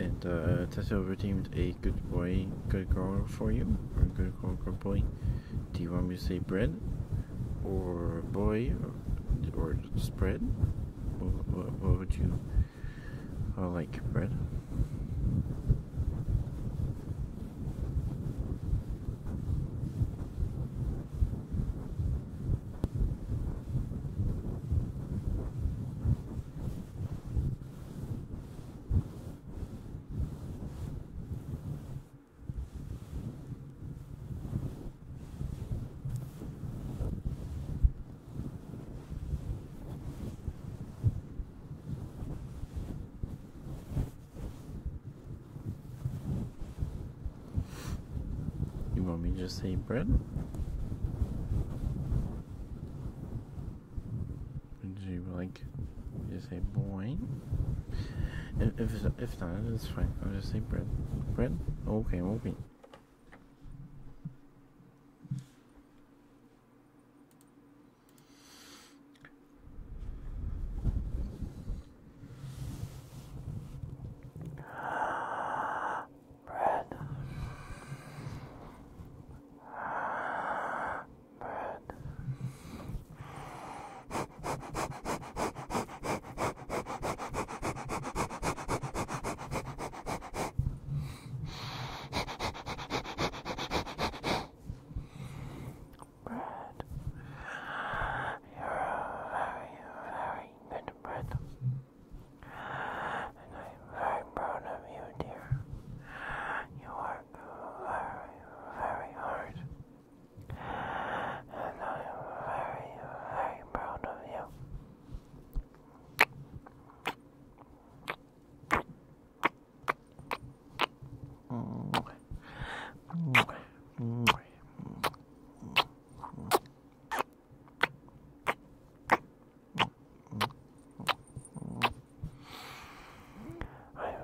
A: And uh, Tato redeemed a good boy, good girl for you, or good girl, good boy. Do you want me to say bread, or boy, or spread? What, would you call like bread? You want me to say bread? Would you like just say boy? If, if, not, it's fine. I'll just say bread. Bread? Okay, okay. Bread. *laughs* Bread. *laughs* Brad, you're
B: a very, very good Brad, and I'm very proud of you, dear. You work very, very hard, and I'm very, very proud of you. I'm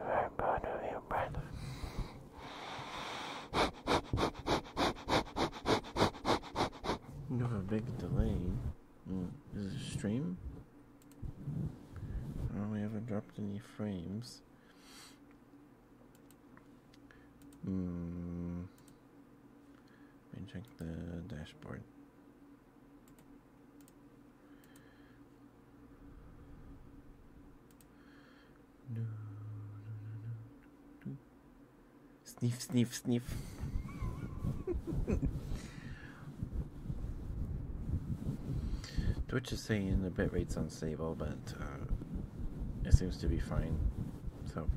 A: very proud of you, brother. You have a big delay. Mm. Is it stream? Oh, we haven't dropped any frames. Hmm. Let me check the dashboard. Sniff, sniff, sniff. Twitch is saying the bitrate's unstable, but uh, it seems to be fine. So,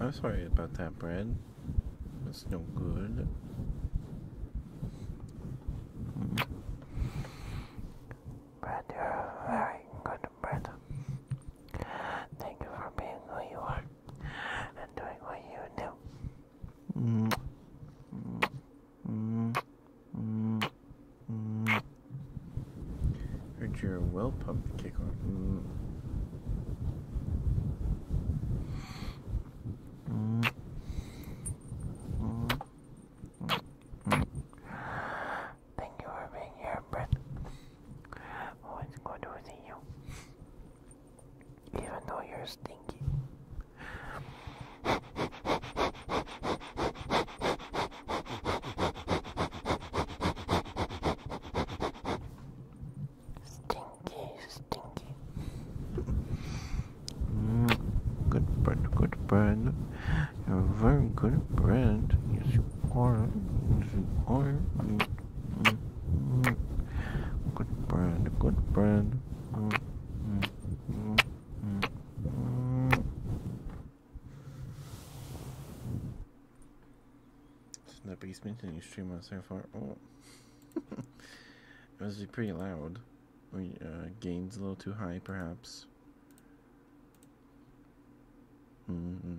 A: I'm sorry about that, bread. It's no good. Brad, very
B: good Captain Thank you for being who you are and doing what you do.
C: Heard you well pumped, kick on.
D: Thank you for being here, Brett. Oh, it's good to see you. Even though you're stinky.
E: Stinky,
C: stinky. Mm, good bird, good bird. a very good bird. you are. Yes, you are. Good brand, good brand.
A: It's the biggest maintaining stream on so far. Oh. *laughs* it was pretty loud. We, uh, oh, a little too high, perhaps. -hmm.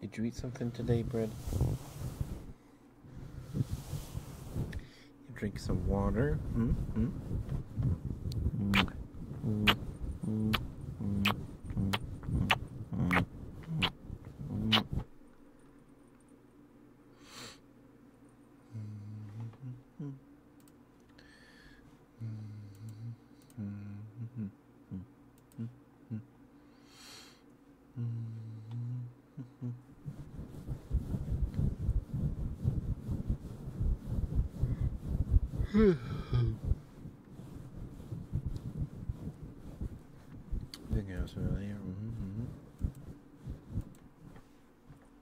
A: Did you eat something today, Bread? drink some water. -hmm.
B: I Hmm. Hmm. Hmm. Hmm. Hmm.
E: -hmm.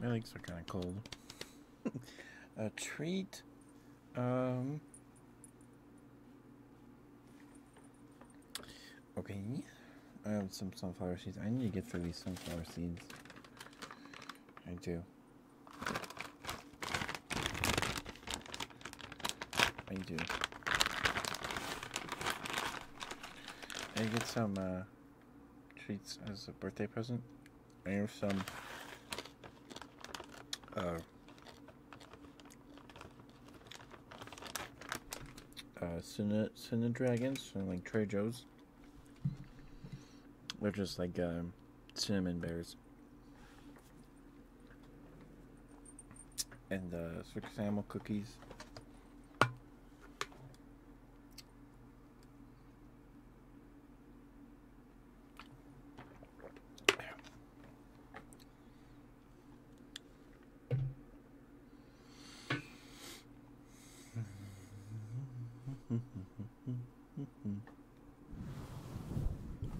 A: My legs are kind of cold. *laughs* a treat. Um. Okay. I have some sunflower seeds. I need to get through these sunflower seeds. I do. I do. I get some uh, treats as a birthday present. I have some uh, uh, Cine, Cine Dragons from like Trader Joe's. They're just like um, cinnamon bears and the uh, six animal cookies.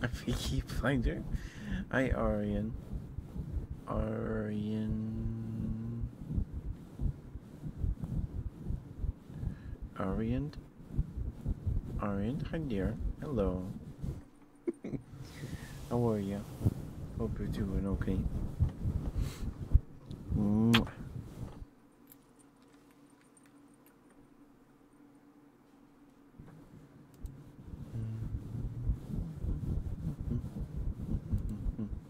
A: *laughs* Finder. I Aryan. Aryan. Orient. Orient, hi dear. Hello. *laughs* How are you? Hope you're doing okay. Mwah. Mm. Mm-hmm.
B: Mm-hmm. Mm-hmm.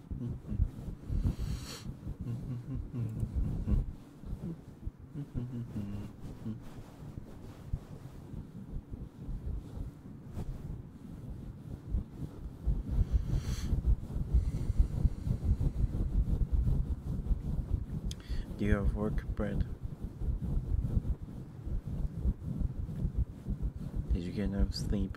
A: Do you have work bread? Did you get enough sleep?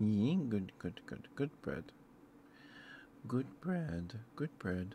A: Yee, good, good, good, good bread. Good bread, good bread.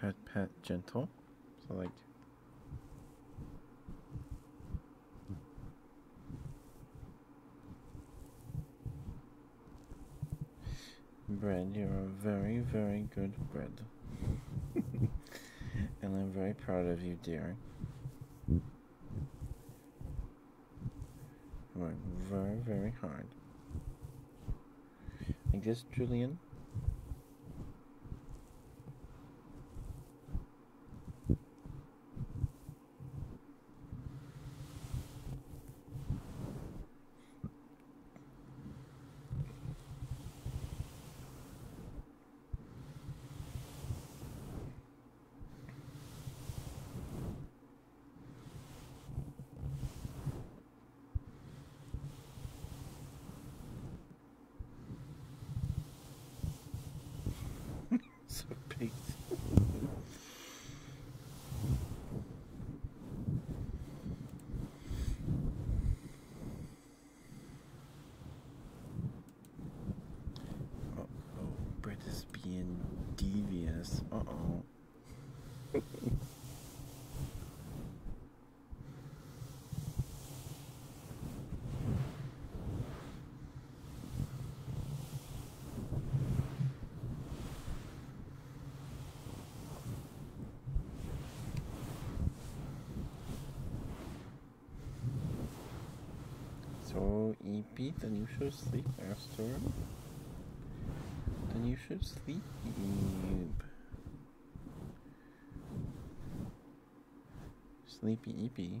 A: Pat, pat, gentle. So like Bread, you're a very, very good bread. *laughs* and I'm very proud of you, dear. You work very, very hard. I guess, Julian?
B: *laughs* so big. Uh
A: oh, Brett is being devious. Uh oh. So, EP, then you should sleep, Astor. Then you should sleep. Sleepy EP.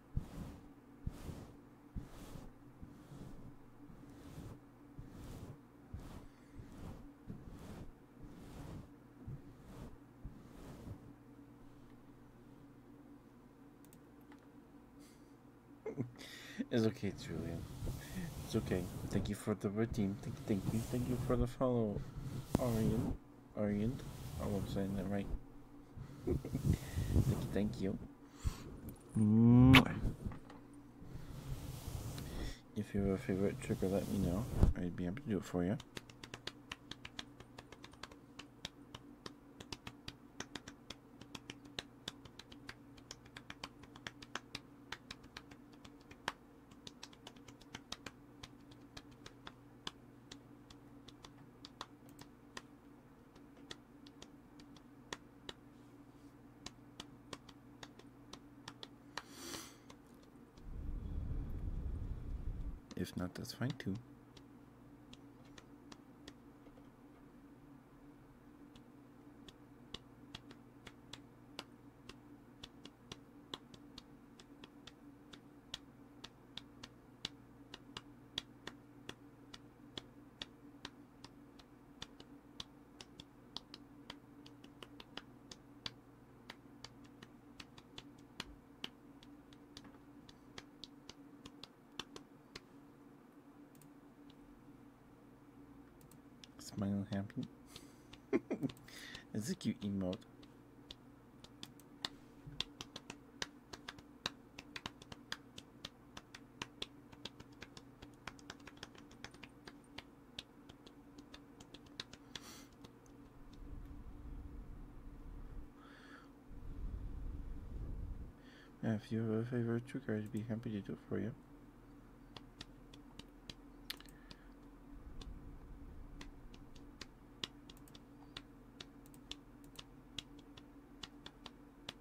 A: *laughs* it's okay, Julian. It's okay. Thank you for the redeem. Thank you, thank you, thank you for the follow, Arian. Arian. I hope I'm saying that right. *laughs* thank you. Mm. If you have a favorite trigger, let me know. I'd be able to do it for you. If not, that's fine too. Smiling happy. *laughs* it's a cute emote. If you have a favorite trigger, I'd be happy to do it for you.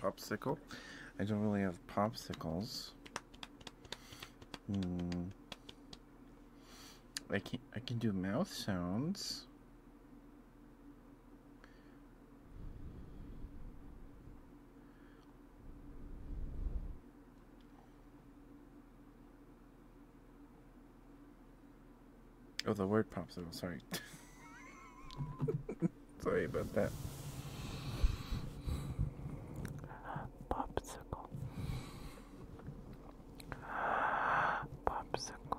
A: Popsicle. I don't really have popsicles. Hmm. I can I can do mouth sounds. Oh, the word popsicle. Sorry.
C: *laughs* Sorry about that.
D: Popsicle. Popsicle.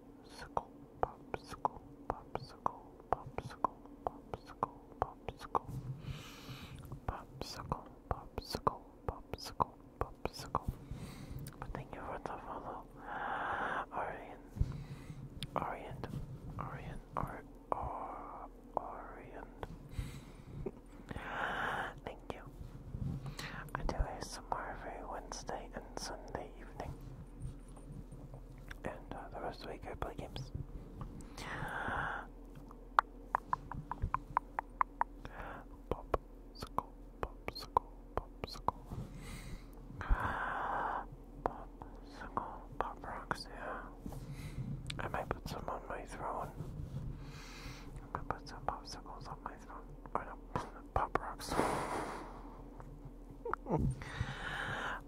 D: popsicle, popsicle, popsicle, popsicle, popsicle, popsicle, popsicle, popsicle, popsicle, thank you for the follow, Orient, Orient, Orient, or Orient. Thank you. I do ASMR every Wednesday and Sunday evening. And uh, the rest of the week I play games. Popsicle, popsicle, popsicle. Popsicle, pop rocks, yeah. I might put some on my throne. I'm gonna put some popsicles on my throne. Or no, *laughs* pop rocks. Popsicle,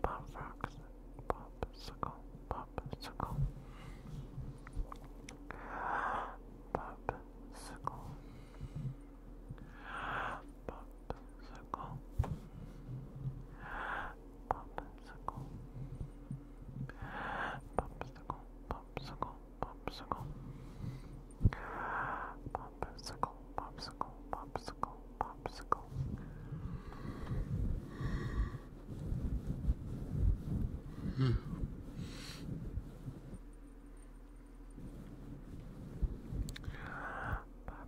D: popsicle, popsicle. Popsicle. Popsicle. Popsicle. Popsicle,
E: popsicle, popsicle. Popsicle, popsicle, popsicle popsicle, popsicle. Hmm.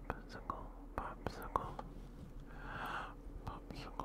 D: Popsicle, popsicle, popsicle.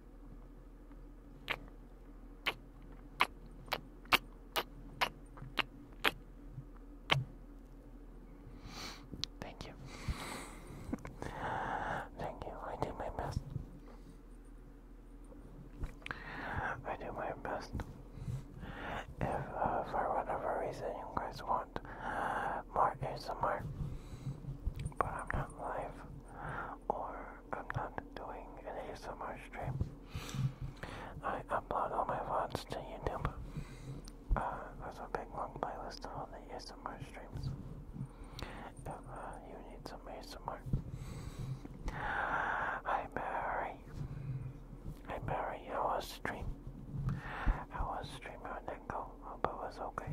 D: Thank you. Thank you. I did my best. I do my best. If uh, for whatever reason you guys want more ASMR, but I'm not live, or I'm not doing any ASMR stream. I upload all my VODs to YouTube. Uh, there's a big long playlist of all the ASMR streams. If uh, you need some ASMR. Hi Mary. am Mary, how was stream? I was stream? How did it go? Hope it was okay.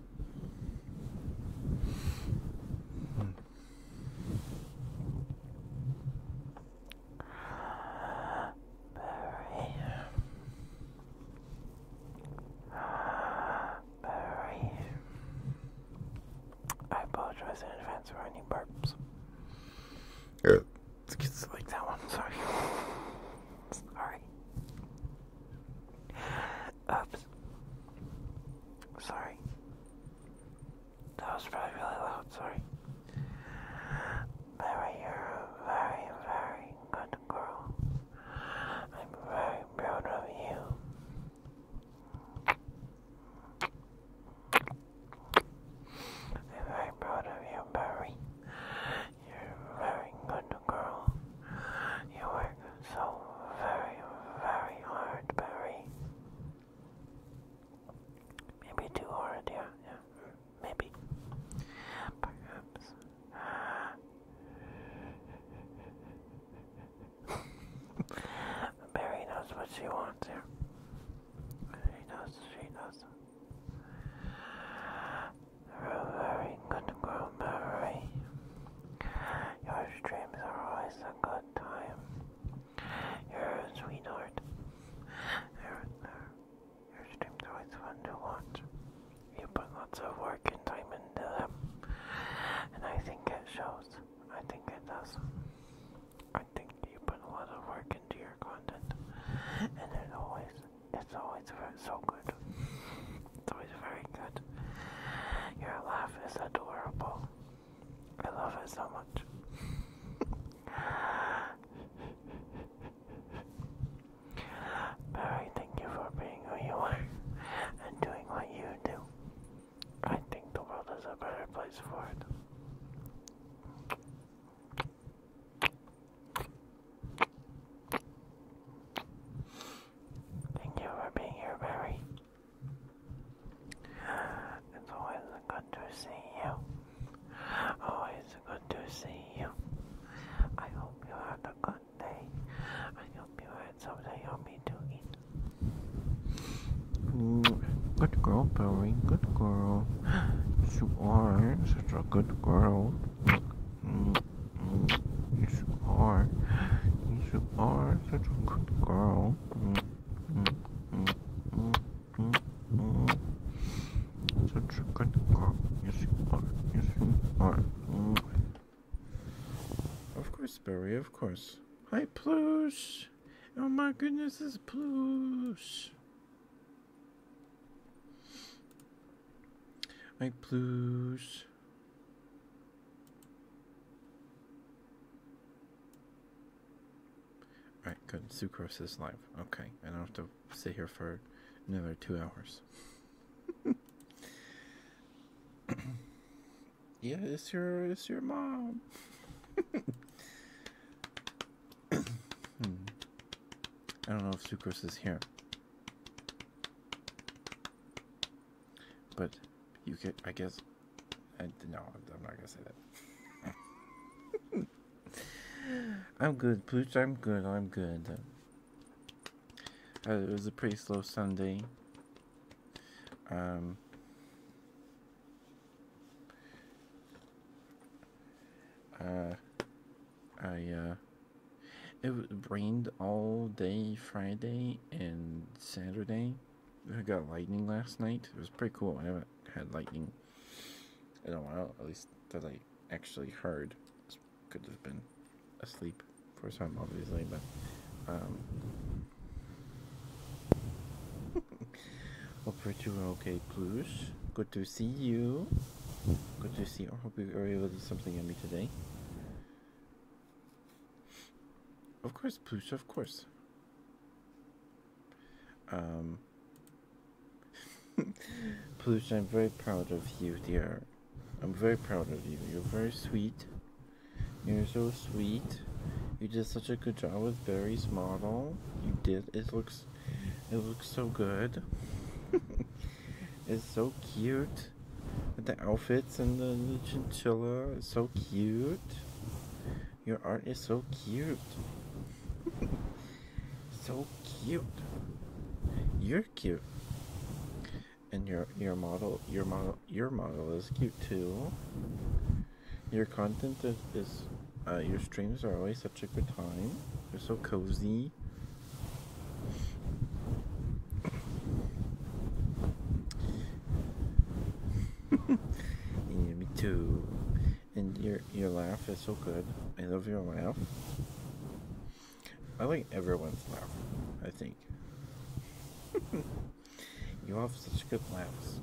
D: Very, very. I apologize in advance for any burps. It's like that one, sorry. *laughs* Sorry. Oops. Sorry. That was probably really loud, sorry. Mary, you're a very, very good girl. I'm very proud of you. I'm very proud of you, Barry. You're a very good girl. You were so very, very hard, Barry. Maybe too hard, yeah, yeah, maybe. Perhaps. *laughs* Barry knows what she wants here. She knows, she knows. very good girl, Barry. Your streams are always a good time. Your sweetheart. Your, your streams are always fun to watch. You put lots of work and time into them. And I think it shows. I think it does. I think you put a lot of work into your content. And it always it's always so good. It's always very good. Your laugh is adorable. I love it so much. Barry, thank you for being who you are and doing what you do. I think the world is a better place for it. Thank you for being here, Barry. It's always good to see you. Always good to see you. I hope you had a good day. I hope
C: you had something yummy to eat. Good girl, Barry. Good girl. You are such a good girl. Yes, you are. Yes, you are such a good girl. Such a good girl. you are.
A: Yes, you are. Of course, Barry, of course.
C: Hi, Plush! Oh my goodness, this is Plush! Hi, Plush.
A: All right, good. Sucrose is live. Okay, I don't have to sit here for another two hours. *coughs* yeah, it's your it's your mom. *coughs* Hmm. I don't know if Sucrose is here. But you could, I guess. no, I'm not gonna say that. *laughs* I'm good, Pooch. I'm good. I'm good. Uh, it was a pretty slow Sunday. Um, uh, I uh, it rained all day Friday and Saturday. I got lightning last night. It was pretty cool. I haven't had lightning in a while, at least that I actually heard. Could have been asleep for some, obviously, but um, *laughs* Hope you are okay, Plush. Good to see you. Good to see you. I hope you are able to do something on me today. Of course, Pooch, of course. Um, *laughs* Pooch, I'm very proud of you, dear. I'm very proud of you. You're very sweet. You're so sweet. You did such a good job with Barry's model. You did. It looks, it looks so good. *laughs* it's so cute the outfits and the, chinchilla. It's so cute. Your art is so cute. *laughs* so cute. You're cute. And your your model your model your model is cute too. Your content is, is uh, your streams are always such a good time. you are so cozy. *laughs* me too. And your your laugh is so good. I love your laugh. I like everyone's laugh. I think. *laughs* you have such good laughs.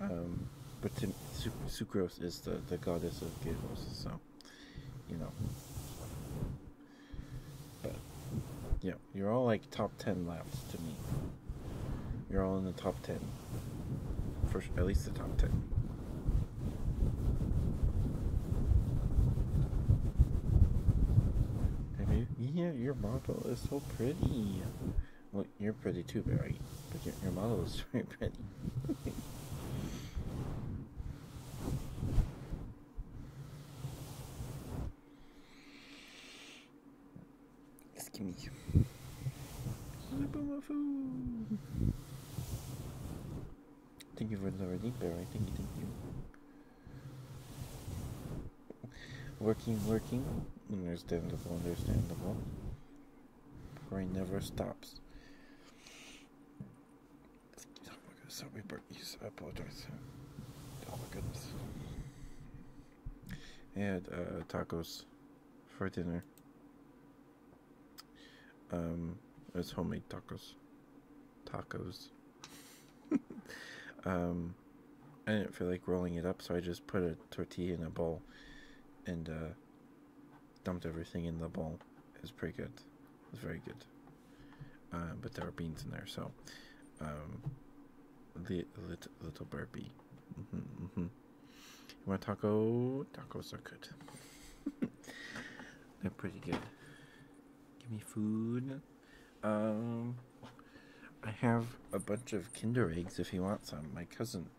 A: Um, but to, Sucrose is the, the goddess of giggles, so you know. But yeah, you're all like top ten laps to me. You're all in the top ten, for at least the top ten. Have you? Yeah, your model is so pretty. Well, you're pretty too, Barry. But your, model is very *laughs* pretty.
C: Excuse me.
A: Thank you for the already, Barry. Thank you, thank you. Working, working. Understandable, understandable. Brain never stops. Oh my goodness, so we these. I apologize. Oh uh, my goodness. And tacos for dinner. Um, it's homemade tacos. Tacos. *laughs* um, I didn't feel like rolling it up, so I just put a tortilla in a bowl and uh, dumped everything in the bowl. It's pretty good. It's very good. Uh, but there are beans in there, so um, the little burpee. Mm -hmm, mm -hmm. You want a taco? Tacos are good. *laughs* They're pretty good. Give me food. Um, I have a bunch of Kinder eggs if you want some. My cousin,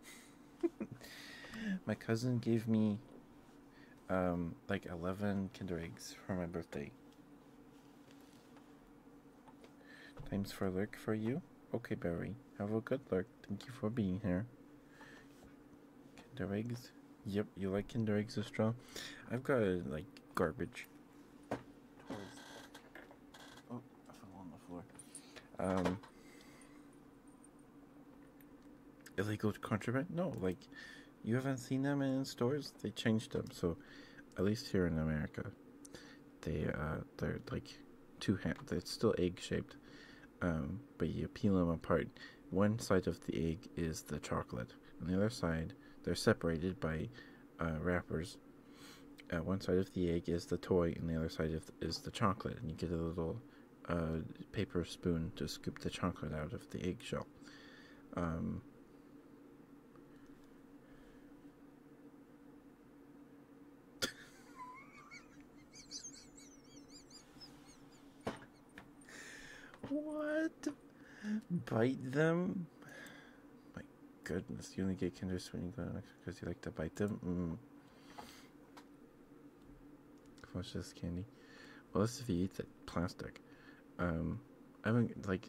A: *laughs* my cousin gave me um, like 11 Kinder Eggs for my birthday. Times for lurk for you. Okay, Barry. Have a good lurk. Thank you for being here. Kinder Eggs. Yep, you like Kinder Eggs, Astra? I've got, like, garbage. Oh,
C: I fell on the floor.
A: Um, illegal contraband? No, like you haven't seen them in stores. They changed them, so at least here in America, they uh, they're like two hand. It's still egg shaped, um, but you peel them apart. One side of the egg is the chocolate, and the other side they're separated by uh, wrappers. Uh, one side of the egg is the toy, and the other side of is the chocolate, and you get a little uh, paper spoon to scoop the chocolate out of the eggshell. Um, what? Bite them? My goodness, you only get Kinder when you go because you like to bite them? Mm. Watch this candy. Well, that's if he eats it. Plastic. Um, I haven't, like,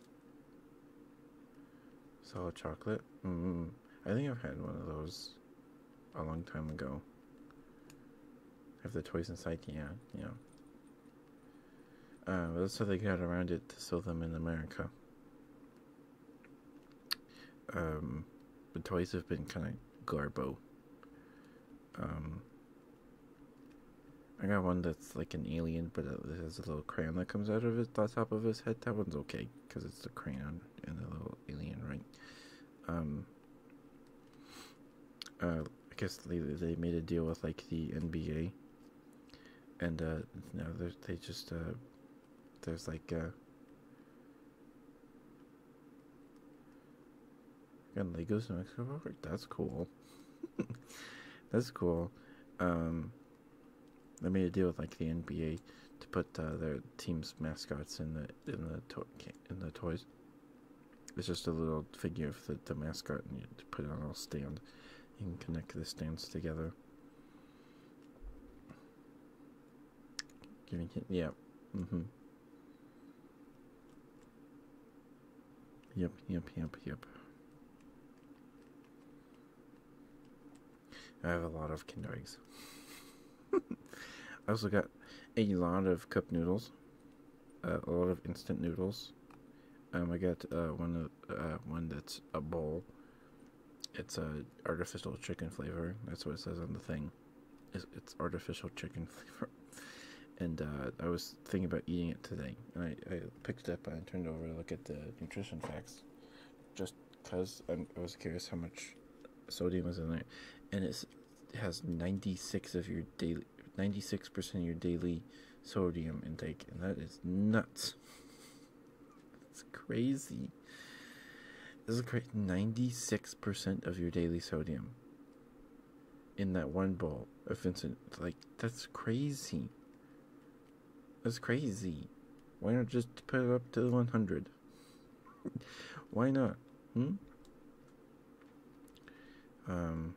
A: solid chocolate. Mm -hmm. I think I've had one of those a long time ago. Have the toys inside? Yeah, yeah. Uh, that's how they got around it to sell them in America. Um, the toys have been kind of garbo um I got one that's like an alien, but it has a little crayon that comes out of it, the top of his head. That one's okay because it's the crayon and the little alien, right? Um, uh, I guess they, they made a deal with like the NBA, and uh, now they just uh, there's like uh, and Legos and Mexico Park? That's cool. *laughs* That's cool. Um, they made a deal with like the NBA to put uh, their team's mascots in the in the in the toys. It's just a little figure of the, mascot, and you put it on a stand. You can connect the stands together. Giving him, yeah, mm-hmm. Yep, yep, yep, yep. I have a lot of Kinder eggs. *laughs* I also got a lot of cup noodles, a lot of instant noodles. Um, I got uh, one uh, one that's a bowl. It's a artificial chicken flavor. That's what it says on the thing. it's artificial chicken *laughs* flavor and uh, I was thinking about eating it today. I, I picked it up and I turned over to look at the nutrition facts, just because I was curious how much sodium was in there, and it has ninety six of your daily ninety six percent of your daily sodium intake, and that is nuts. It's crazy. This is crazy. Ninety six percent of your daily sodium in that one bowl, of Vincent. Like, that's crazy. That's crazy. Why not just put it up to 100? Why not? Hmm? Um,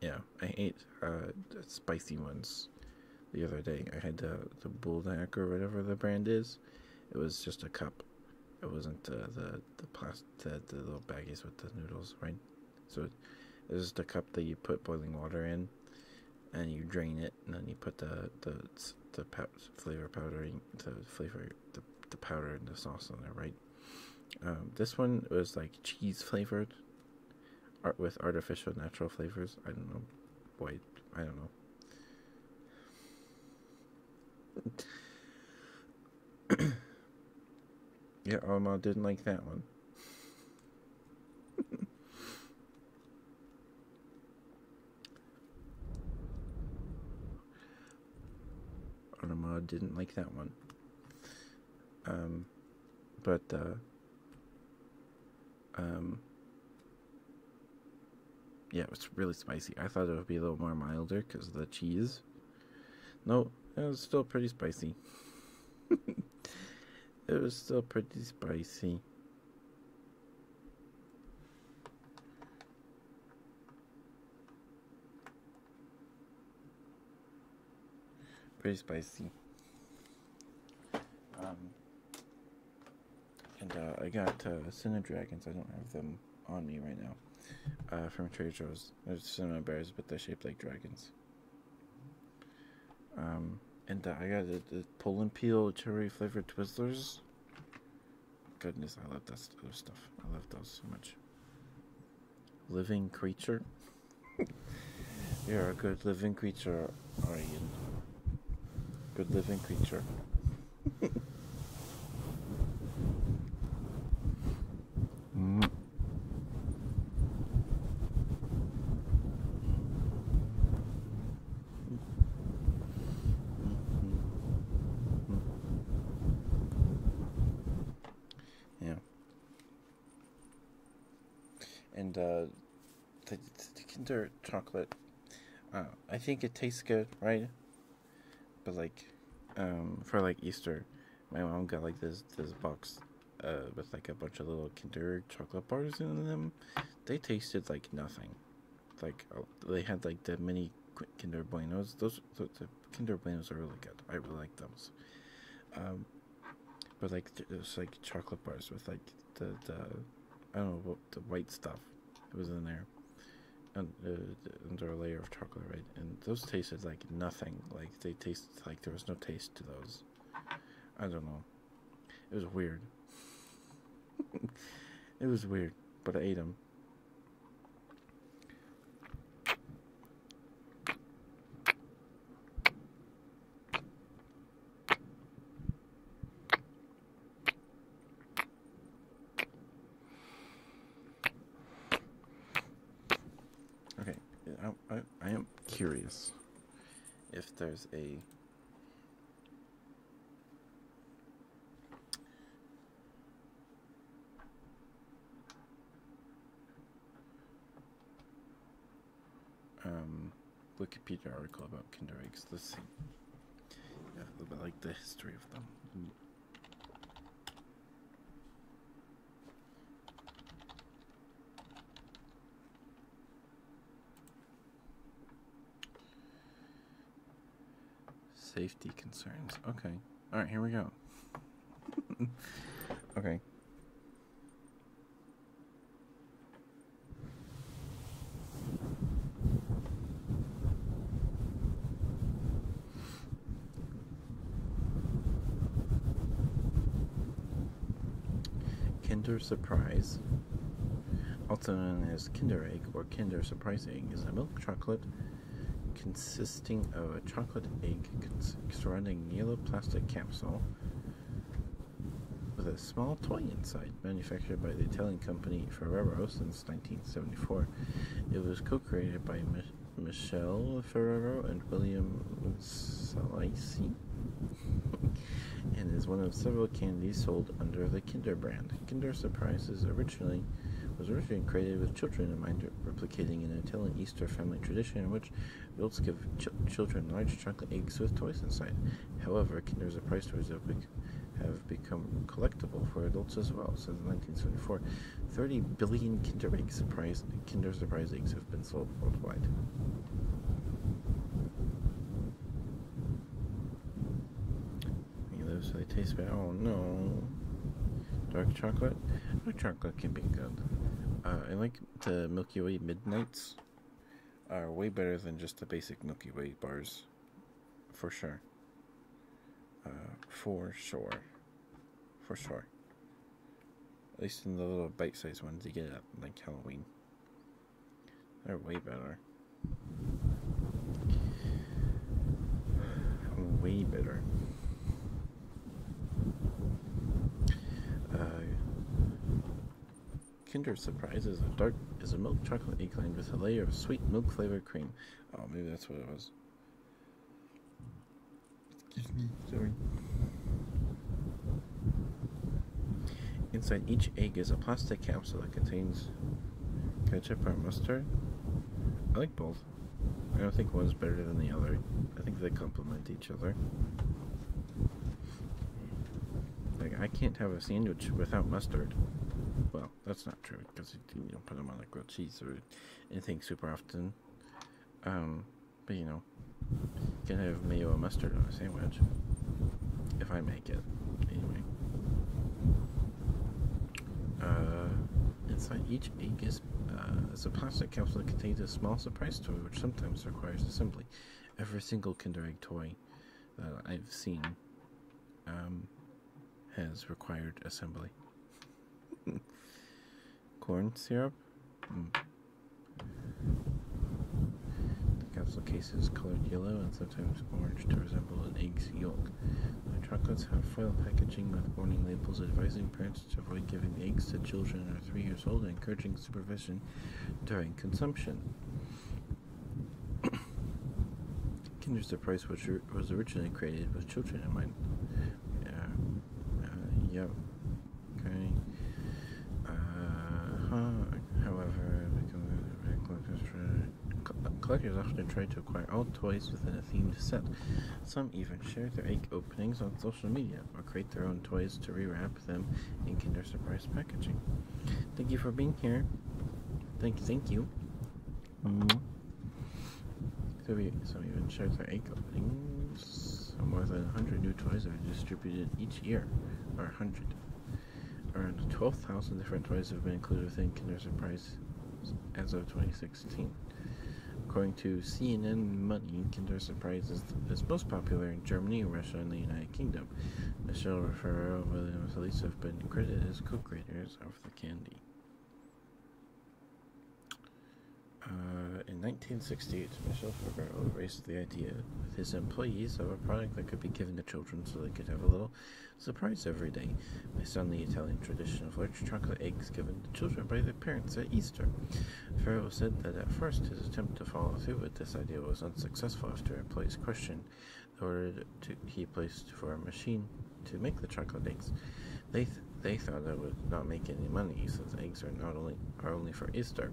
A: yeah, I ate uh, spicy ones the other day. I had the, the Bulldog or whatever the brand is. It was just a cup. It wasn't uh, the the plastic the little baggies with the noodles, right? So it's just a cup that you put boiling water in, and you drain it, and then you put the the the pow flavor powder, the flavor, the the powder and the sauce on there, right? Um, this one was like cheese flavored, art with artificial natural flavors. I don't know, boy, I don't know. *coughs* yeah, Arma didn't like that one. *laughs* Arma didn't like that one. Um, but, uh, um, yeah, it was really spicy. I thought it would be a little more milder because of the cheese, no, it was still pretty spicy. *laughs* it was still pretty spicy. Pretty spicy. Um, and uh, I got cinnamon uh, Dragons. I don't have them on me right now. Uh, from Trader Joe's. They're cinnamon bears, but they're shaped like dragons. Um, and I got the, the pull and peel cherry flavored Twizzlers. Goodness, I love that stuff. I love those so much. Living creature. *laughs* You're a good living creature, are you? Good living creature. *laughs* mm. Yeah. And uh, the, Kinder chocolate, uh, I think it tastes good, right? But like, um, for like Easter, my mom got like this this box uh, with like a bunch of little Kinder chocolate bars in them. They tasted like nothing. Like oh, they had like the mini Kinder Buenos. Those the, Kinder Buenos are really good. I really like those. Um, but like it was like chocolate bars with like the the I don't know the white stuff. that was in there under, under uh, a layer of chocolate, right? And those tasted like nothing. Like they tasted. Like there was no taste to those. I don't know. It was weird. *laughs* it was weird, but I ate them. Okay, I, I, am curious if there's a um, Wikipedia article about Kinder Eggs. Let's see. Yeah, bit like the history of them. Safety concerns. Okay. All right, here we go. *laughs* okay. Kinder Surprise, also known as Kinder Egg or Kinder Surprise is a milk chocolate consisting of a chocolate egg surrounding a yellow plastic capsule with a small toy inside. Manufactured by the Italian company Ferrero since 1974, it was co-created by Michelle Ferrero and William Salisi and is one of several candies sold under the Kinder brand. Kinder Surprise was originally created with children in mind, replicating an Italian Easter family tradition in which adults give children large chocolate eggs with toys inside. However, Kinder Surprise toys have, become collectible for adults as well. Since 1974, 30 billion Kinder Egg Surprise Kinder Surprise eggs has been sold worldwide. You they taste Oh no. Dark chocolate? Dark chocolate can be good. Uh, I like the Milky Way Midnights. Are way better than just the basic Milky Way bars. For sure. Uh, for sure. For sure. At least in the little bite-sized ones you get at like Halloween. They're way better. Way better. Uh, Kinder Surprise is a dark is a milk chocolate egg lined with a layer of sweet milk flavored cream. Oh, maybe that's what it was. Inside each egg is a plastic capsule that contains ketchup or mustard. I like both. I don't think one's better than the other. I think they complement each other. Like, I can't have a sandwich without mustard. Well, that's not true, because you don't put them on like grilled cheese or anything super often. Um, but you know, you can have mayo and mustard on a sandwich. If I make it, anyway. Uh, inside each egg is, uh, a plastic capsule that contains a small surprise toy, which sometimes requires assembly. Every single Kinder Egg toy that I've seen um, has required assembly. *laughs* corn syrup. Hmm. The capsule case is colored yellow and sometimes orange to resemble an egg's yolk. The chocolates have foil packaging with warning labels advising parents to avoid giving eggs to children under three years old and encouraging supervision during consumption. *coughs* Kinder Surprise, which was originally created with children in mind yeah, uh, yep, okay, uh-huh, however, uh, collectors, often try to acquire all toys within a themed set. Some even share their egg openings on social media, or create their own toys to rewrap them in Kinder Surprise packaging. Thank you for being here. Thank, thank you. Mm -hmm. So we, some even share their egg openings so more than 100 new toys are distributed each year, or 100. Around 12,000 different toys have been included within Kinder Surprise as of 2016. According to CNN Money, Kinder Surprise is, is, most popular in Germany, Russia, and the United Kingdom. Michelle Raffaello and William Felice have been credited as co-creators of the candy. Uh, in 1968, Michel Foucault raised the idea with his employees of a product that could be given to children so they could have a little surprise every day, based on the Italian tradition of large chocolate eggs given to children by their parents at Easter. Foucault said that at first his attempt to follow through with this idea was unsuccessful after employees questioned the order to, he placed for a machine to make the chocolate eggs. They they thought I would not make any money, since eggs are not only are only for Easter.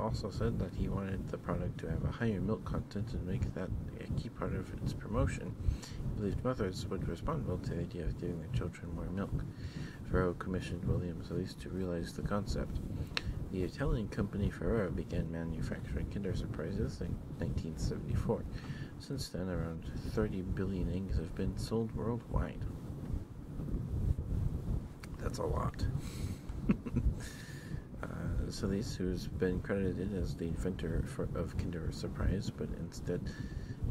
A: also said that he wanted the product to have a higher milk content and make that a key part of its promotion. He believed mothers would respond well to the idea of giving their children more milk. Ferro commissioned William Solis to realize the concept. The Italian company Ferrero began manufacturing Kinder Surprises in 1974. Since then, around 30 billion eggs have been sold worldwide. That's a lot. *laughs* uh, who's been credited as the inventor of Kinder Surprise, but instead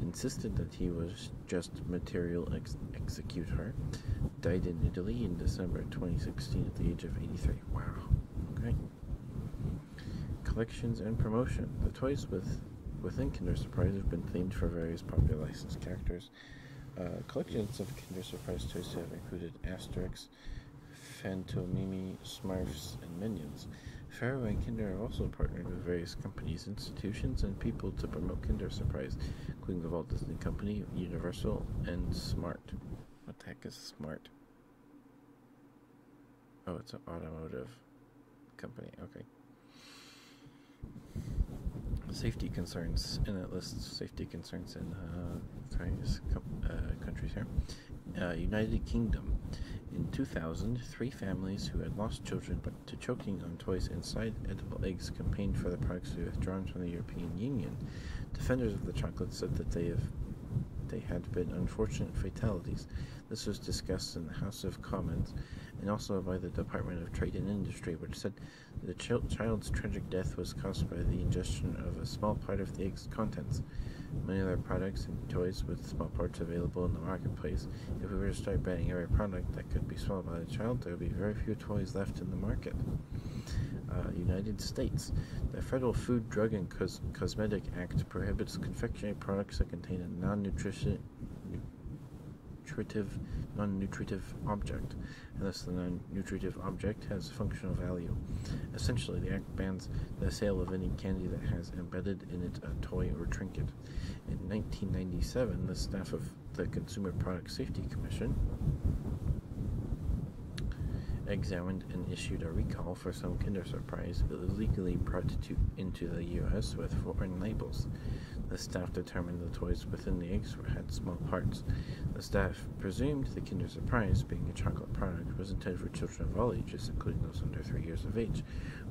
A: insisted that he was just material ex executor, died in Italy in December 2016 at the age of 83. Wow. Okay. Collections and promotion. The toys with within Kinder Surprise have been themed for various popular licensed characters, uh, collections of Kinder Surprise toys have included Asterix, Fantomimi, Smurfs, and Minions. Ferrero and Kinder have also partnered with various companies, institutions, and people to promote Kinder Surprise, including the Walt Disney Company, Universal, and Smart. What the heck is Smart? Oh, it's an automotive company. Okay. Safety concerns, and it lists safety concerns in uh, various uh, countries here. Uh, United Kingdom. In 2000, three families who had lost children but to choking on toys inside edible eggs campaigned for the products to be withdrawn from the European Union. Defenders of the chocolate said that they have they had been unfortunate fatalities. This was discussed in the House of Commons and also by the Department of Trade and Industry, which said the child's tragic death was caused by the ingestion of a small part of the egg's contents. Many other products and toys with small parts available in the marketplace. If we were to start banning every product that could be swallowed by a child, there would be very few toys left in the market. Uh, United States. The Federal Food, Drug, and Cos Cosmetic Act prohibits confectionery products that contain a non nutrition nutritive, non-nutritive object, unless the non-nutritive object has functional value. Essentially, the act bans the sale of any candy that has embedded in it a toy or trinket. In 1997, the staff of the Consumer Product Safety Commission examined and issued a recall for some Kinder Surprise illegally brought into the U.S. with foreign labels. The staff determined the toys Within the eggs were had small parts. The staff presumed the Kinder Surprise, being a chocolate product, was intended for children of all ages, including those under three years of age.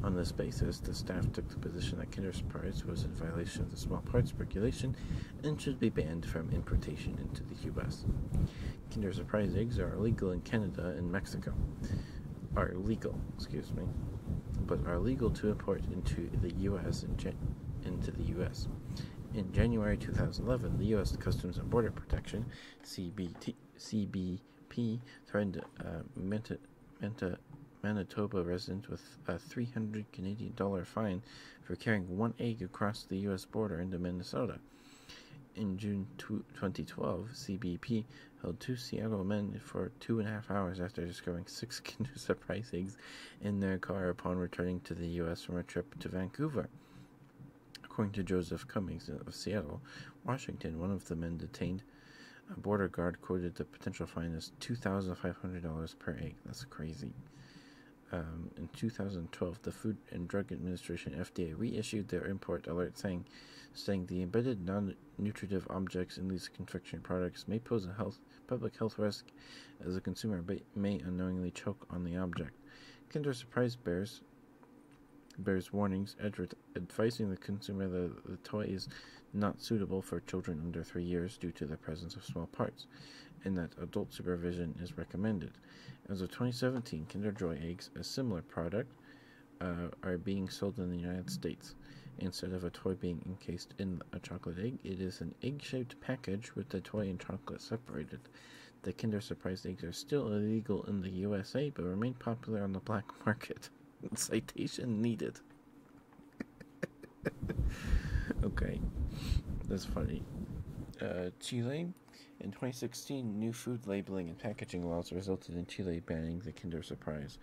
A: On this basis, the staff took the position that Kinder Surprise was in violation of the small parts regulation and should be banned from importation into the U.S. Kinder Surprise eggs are illegal in Canada and Mexico. Are legal, excuse me, but are legal to import into the U.S. in into the U.S. In January 2011, the U.S. Customs and Border Protection (CBT, CBP) threatened uh, a Manitoba resident with a 300 dollars Canadian dollar fine for carrying one egg across the U.S. border into Minnesota. In June 2012, CBP held two Seattle men for two and a half hours after discovering six *laughs* Kinder Surprise eggs in their car upon returning to the U.S. from a trip to Vancouver. According to Joseph Cummings of Seattle, Washington, one of the men detained, a border guard quoted the potential fine as $2,500 per egg. That's crazy. Um, in 2012, the Food and Drug Administration (FDA) reissued their import alert, saying, saying the embedded non-nutritive objects in these confection products may pose a health public health risk as a consumer, but may unknowingly choke on the object. Kinder Surprise bears bears warnings advising the consumer that the toy is not suitable for children under three years due to the presence of small parts, and that adult supervision is recommended. As of 2017, Kinder Joy eggs, a similar product, uh, are being sold in the United States instead of a toy being encased in a chocolate egg. It is an egg-shaped package with the toy and chocolate separated. The Kinder Surprise eggs are still illegal in the USA, but remain popular on the black *laughs* market. Citation needed. *laughs* okay, that's funny. Uh, Chile. In 2016, new food labeling and packaging laws resulted in Chile banning the Kinder Surprise.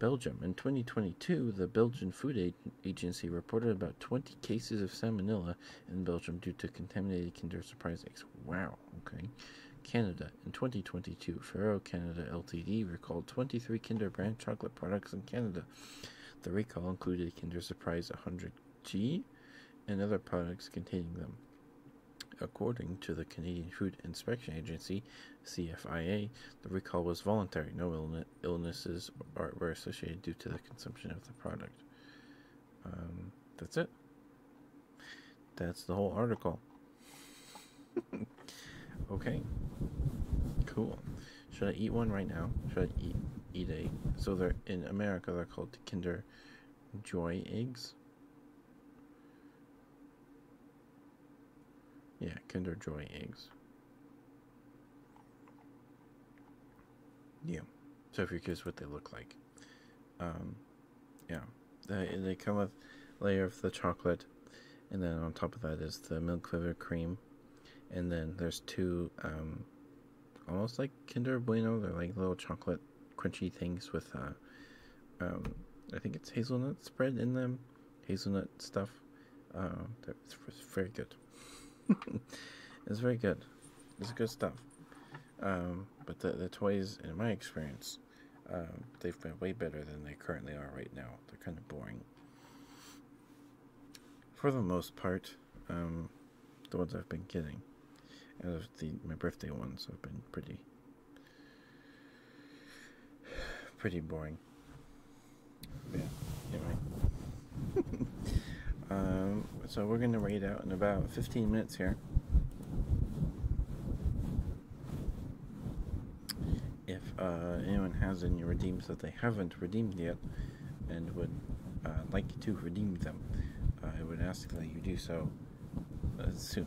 A: Belgium. In 2022, the Belgian Food Agency reported about 20 cases of salmonella in Belgium due to contaminated Kinder Surprise eggs. Wow, okay. Canada. In 2022, Ferrero Canada Ltd. recalled 23 Kinder brand chocolate products in Canada. The recall included Kinder Surprise 100G and other products containing them. According to the Canadian Food Inspection Agency, CFIA, the recall was voluntary. No illnesses are, were associated due to the consumption of the product. Um, that's it. That's the whole article. *laughs* okay. Cool. Should I eat one right now? Should I eat eat a so they're in America they're called Kinder Joy eggs. Yeah, Kinder Joy eggs. Yeah. So if you're curious what they look like. Um, yeah. They, they come with layer of the chocolate. And then on top of that is the milk flavored cream. And then there's two, um, almost like Kinder Bueno. They're like little chocolate crunchy things with, uh, um, I think it's hazelnut spread in them. Hazelnut stuff. Uh, that's very good. *laughs* it's very good. It's good stuff. Um, but the, the toys, in my experience, um, they've been way better than they currently are right now. They're kind of boring. For the most part, um, the ones I've been getting, out of the my birthday ones, have been pretty, *sighs* pretty boring. Yeah, anyway. *laughs* um, so we're going to wait out in about 15 minutes here. If uh, anyone has any redeems that they haven't redeemed yet and would uh, like to redeem them, uh, I would ask that you do so soon.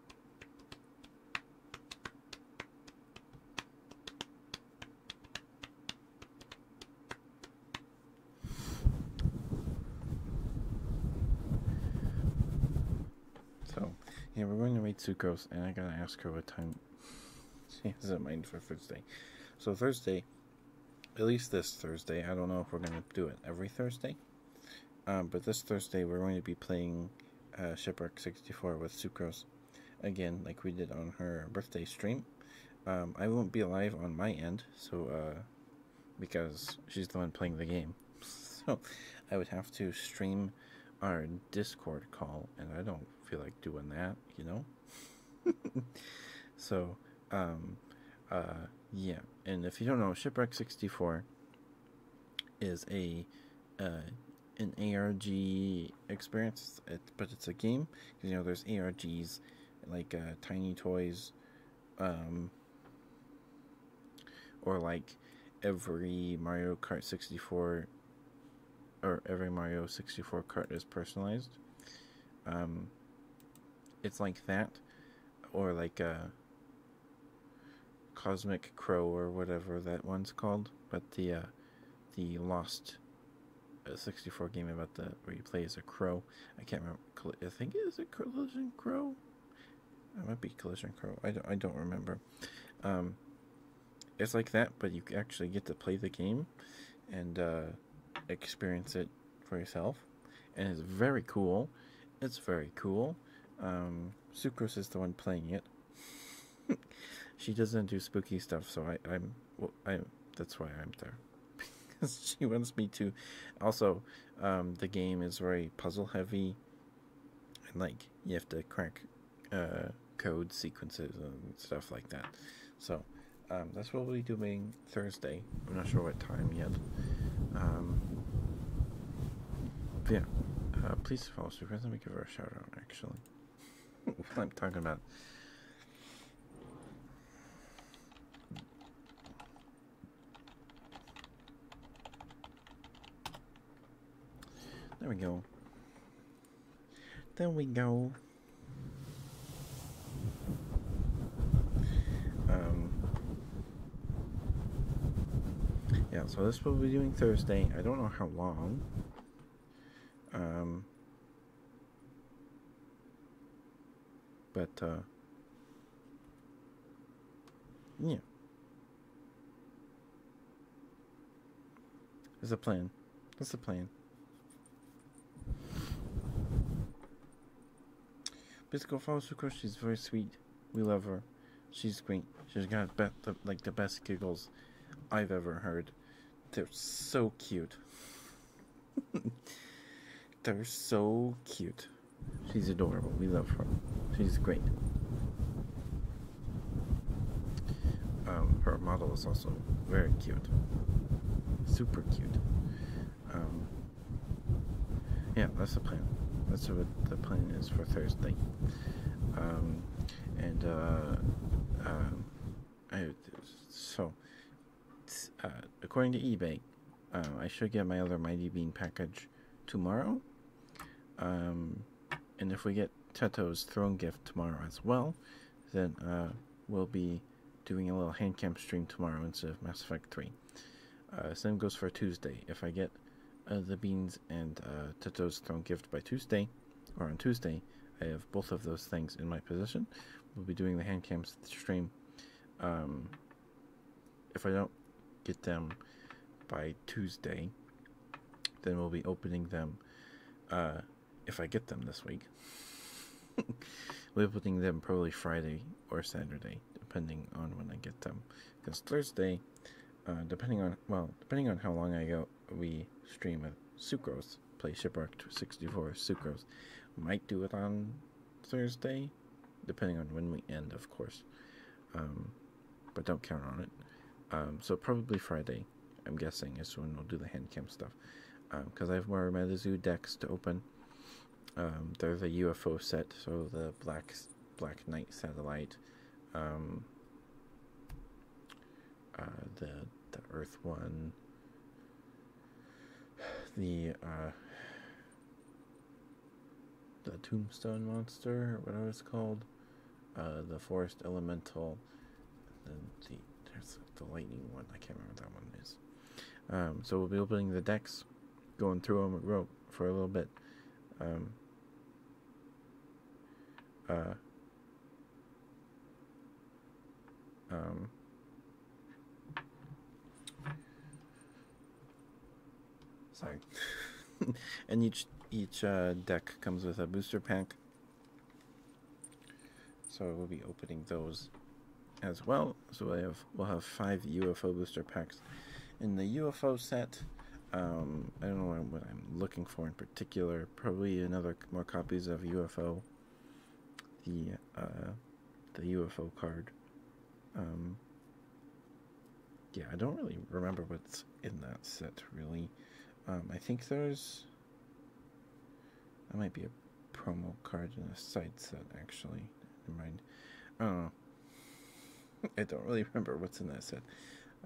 A: So, yeah, we're going to meet Sucrose, and I gotta ask her what time she has in mind for Thursday. So Thursday, at least this Thursday, I don't know if we're gonna do it every Thursday, um, but this Thursday we're going to be playing uh, Shipwreck 64 with Sucrose again, like we did on her birthday stream. Um, I won't be alive on my end, so uh, because she's the one playing the game. *laughs* So I would have to stream our Discord call, and I don't feel like doing that, you know? *laughs* so, um, uh, yeah. And if you don't know, Shipwreck64 is a uh, an ARG experience, it, but it's a game. you know, there's ARGs like uh, Tiny Toys, um, or like every Mario Kart 64, or every Mario 64 cart is personalized. Um, it's like that, or like uh, Cosmic Crow or whatever that one's called, but the uh, the Lost uh, 64 game about the where you play as a crow. I can't remember. I think it is a Collision Crow. It might be Collision Crow. I don't. I don't remember. Um, it's like that, but you actually get to play the game and uh, experience it for yourself, and it's very cool. It's very cool. Um, Sucrose is the one playing it. *laughs* she doesn't do spooky stuff, so I, I'm, well, I, that's why I'm there. *laughs* because she wants me to. Also, um, the game is very puzzle heavy, and like you have to crack uh, code sequences and stuff like that. So um, that's what we'll be doing Thursday. I'm not sure what time yet. Um, yeah, uh, please follow us. We're going give her a shout out actually. I'm talking about. There we go. There we go. Um, yeah, so this will be doing Thursday. I don't know how long. Um, but uh, yeah, there's a plan. That's the plan. Bisco follows Sucre. She's very sweet. We love her. She's great. She's got the, like the best giggles. I've ever heard. They're so cute. *laughs* They're so cute. She's adorable. We love her. She's great. Um, her model is also very cute. Super cute. Um, yeah, that's the plan. That's what the plan is for Thursday. Um, and uh, uh, I, so uh, according to eBay, uh, I should get my other Mighty Bean package tomorrow. Um, and if we get Teto's throne gift tomorrow as well, then we'll be doing a little hand camp stream tomorrow instead of Mass Effect 3. same goes for Tuesday. If I get the beans and Teto's throne gift by Tuesday, or on Tuesday, I have both of those things in my possession. We'll be doing the hand cam stream. Um, if I don't get them by Tuesday, then we'll be opening them. Uh, if I get them this week, *laughs* we'll be opening them probably Friday or Saturday, depending on when I get them. Because Thursday, uh, depending on well, depending on how long I go, we stream a Sucrose, play Shipwreck 64 Sucrose. might do it on Thursday, depending on when we end, of course. Um, but don't count on it. Um, so probably Friday, I'm guessing, is when we'll do the hand cam stuff. Because um, I have more MetaZoo decks to open. Um, there's a UFO set, so the Black Black Knight satellite, um, uh, the the Earth one, the uh, the Tombstone monster, whatever it's called, uh, the Forest Elemental, then the there's the lightning one. I can't remember what that one is. Um, so we'll be opening the decks, going through them rope for a little bit. Um, um, sorry. *laughs* and each each uh, deck comes with a booster pack. So we'll be opening those as well. So we have we'll have five UFO booster packs in the UFO set. Um, I don't know what I'm looking for in particular. Probably another more copies of UFO, the uh, the UFO card. Um, yeah, I don't really remember what's in that set really. Um, I think there's. That might be a promo card in a side set actually. Never mind. Uh, *laughs* I don't really remember what's in that set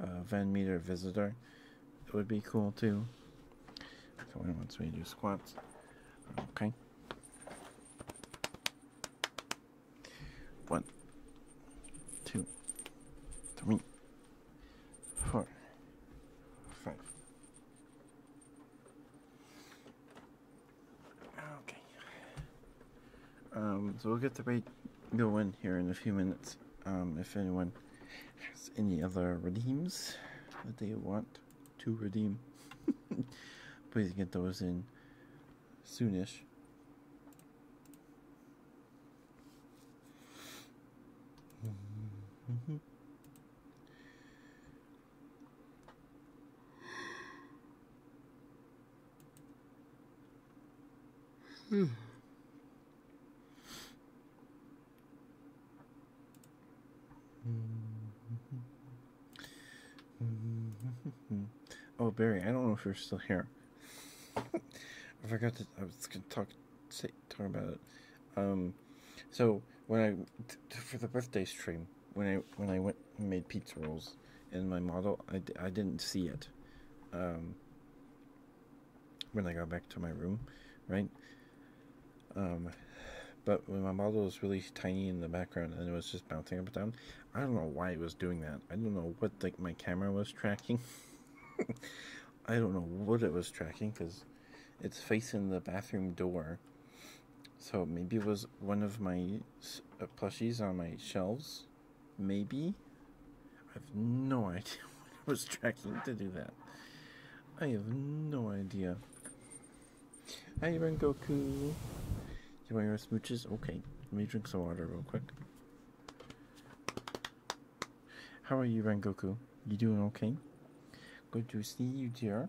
A: uh, Van Meter Visitor. It would be cool too. So once we do squats, okay. One, two, three, four, five. Okay. Um, so we'll get the rate going here in a few minutes. Um, if anyone has any other redeems that they want to redeem, *laughs* please get those in soonish. Hmm. Mm-hmm. Oh, Barry, I don't know if you're still here. *laughs* I forgot to. I was gonna talk, say, talk about it. Um, so when I for the birthday stream, when I when I went and made pizza rolls in my model, I d- I didn't see it. Um, when I got back to my room, right? Um, but when my model was really tiny in the background and it was just bouncing up and down, I don't know why it was doing that. I don't know what like my camera was tracking. *laughs* I don't know what it was tracking because it's facing the bathroom door. So maybe it was one of my uh, plushies on my shelves, maybe, I have no *laughs* idea what I was tracking to do that. I have no idea.
C: Hi, Ren Goku. You
A: want your smooches? Okay. Let me drink some water real quick. How are you, Rengoku? You doing okay? Good to see you, dear.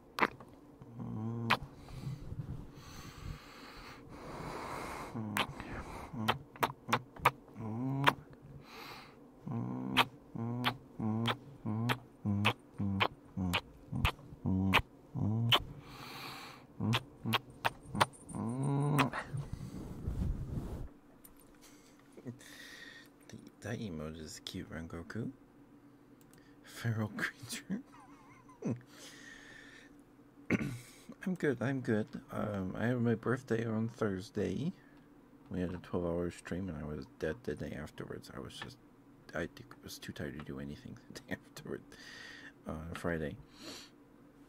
A: that emoji is cute, Rengoku. Feral creature. I'm good. I'm good. Um, I have my birthday on Thursday. We had a 12-hour stream, and I was dead the day afterwards. I was just, I was too tired to do anything *laughs* the day afterward. Uh, Friday.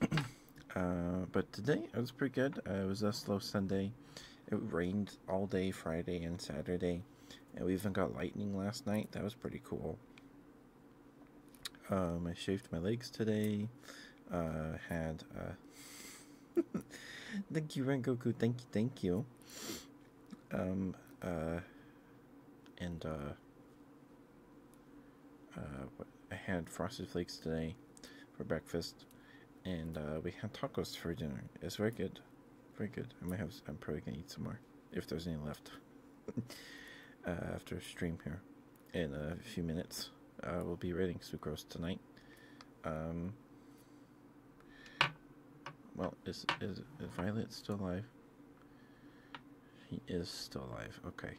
A: *clears throat* Uh, but today it was pretty good. Uh, it was a slow Sunday. It rained all day Friday and Saturday. And we even got lightning last night. That was pretty cool. Um, I shaved my legs today. Uh, had uh, *laughs* thank you Goku. thank you, thank you. Um, uh, and uh, uh, I had frosted flakes today for breakfast, and uh, we had tacos for dinner. It's very good, very good. I might have. I'm probably gonna eat some more if there's any left *laughs* uh, after stream here in a few minutes. Uh, we'll be rating Sucrose tonight. Um, well, is, is is Violet still alive? He is still alive. Okay.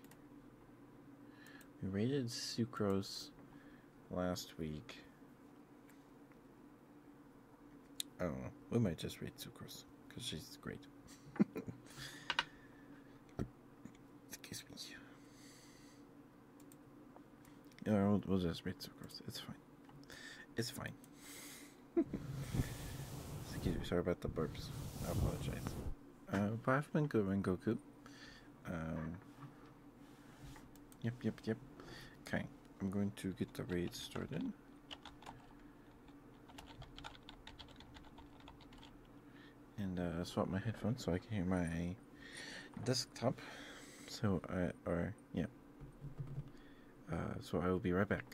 A: We rated Sucrose last week. Oh, We might just read Sucrose because she's great. Excuse *laughs* me. Yeah, we'll, just read Sucrose. It's fine. It's fine. *laughs* Excuse me. Sorry about the burps. I apologize. Uh, but I've been good, Goku. Um, yep, yep, yep. Okay, I'm going to get the raid started and uh, swap my headphones so I can hear my desktop. So I or yeah. Uh, so I will be right back.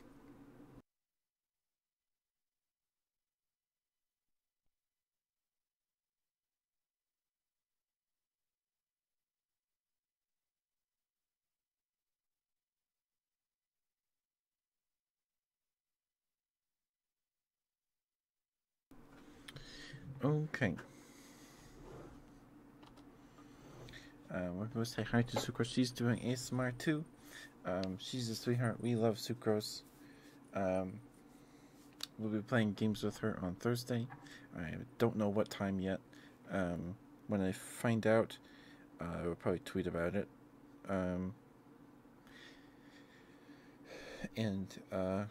A: Okay. Um, we're going to say hi to Sucrose. She's doing ASMR too. Um, she's a sweetheart. We love Sucrose. Um, we'll be playing games with her on Thursday. I don't know what time yet. when I find out, I uh, will probably tweet about it. Um, and uh,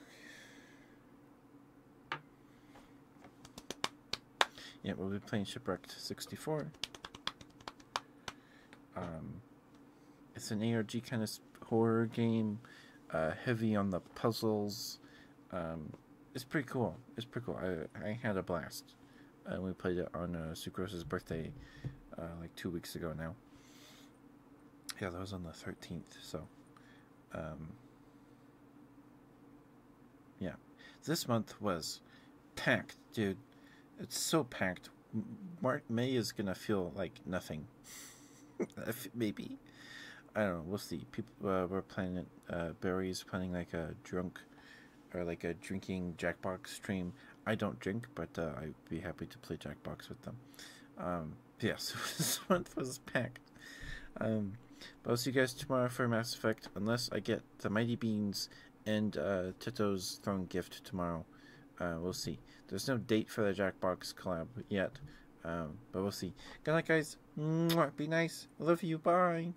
A: yeah, we'll be playing Shipwrecked 64. Um, it's an ARG kind of horror game, uh, heavy on the puzzles. Um, it's pretty cool. It's pretty cool. I, I had a blast. And we played it on uh, Sucrose's birthday uh, like two weeks ago now. Yeah, that was on the 13th, so. Um, yeah. This month was packed, dude. It's so packed. Mark May is gonna feel like nothing. *laughs* Maybe. I don't know. We'll see. People uh, were planning. Uh, Barry's planning like a drunk or like a drinking Jackbox stream. I don't drink, but uh, I'd be happy to play Jackbox with them. Um, yes, yeah, *laughs* this month was packed. Um, but I'll see you guys tomorrow for Mass Effect, unless I get the Mighty Beans and uh, Tito's Throne gift tomorrow. Uh, we'll see. There's no date for the Jackbox collab yet, um, but we'll see. Good night, guys. be nice. love you. Bye.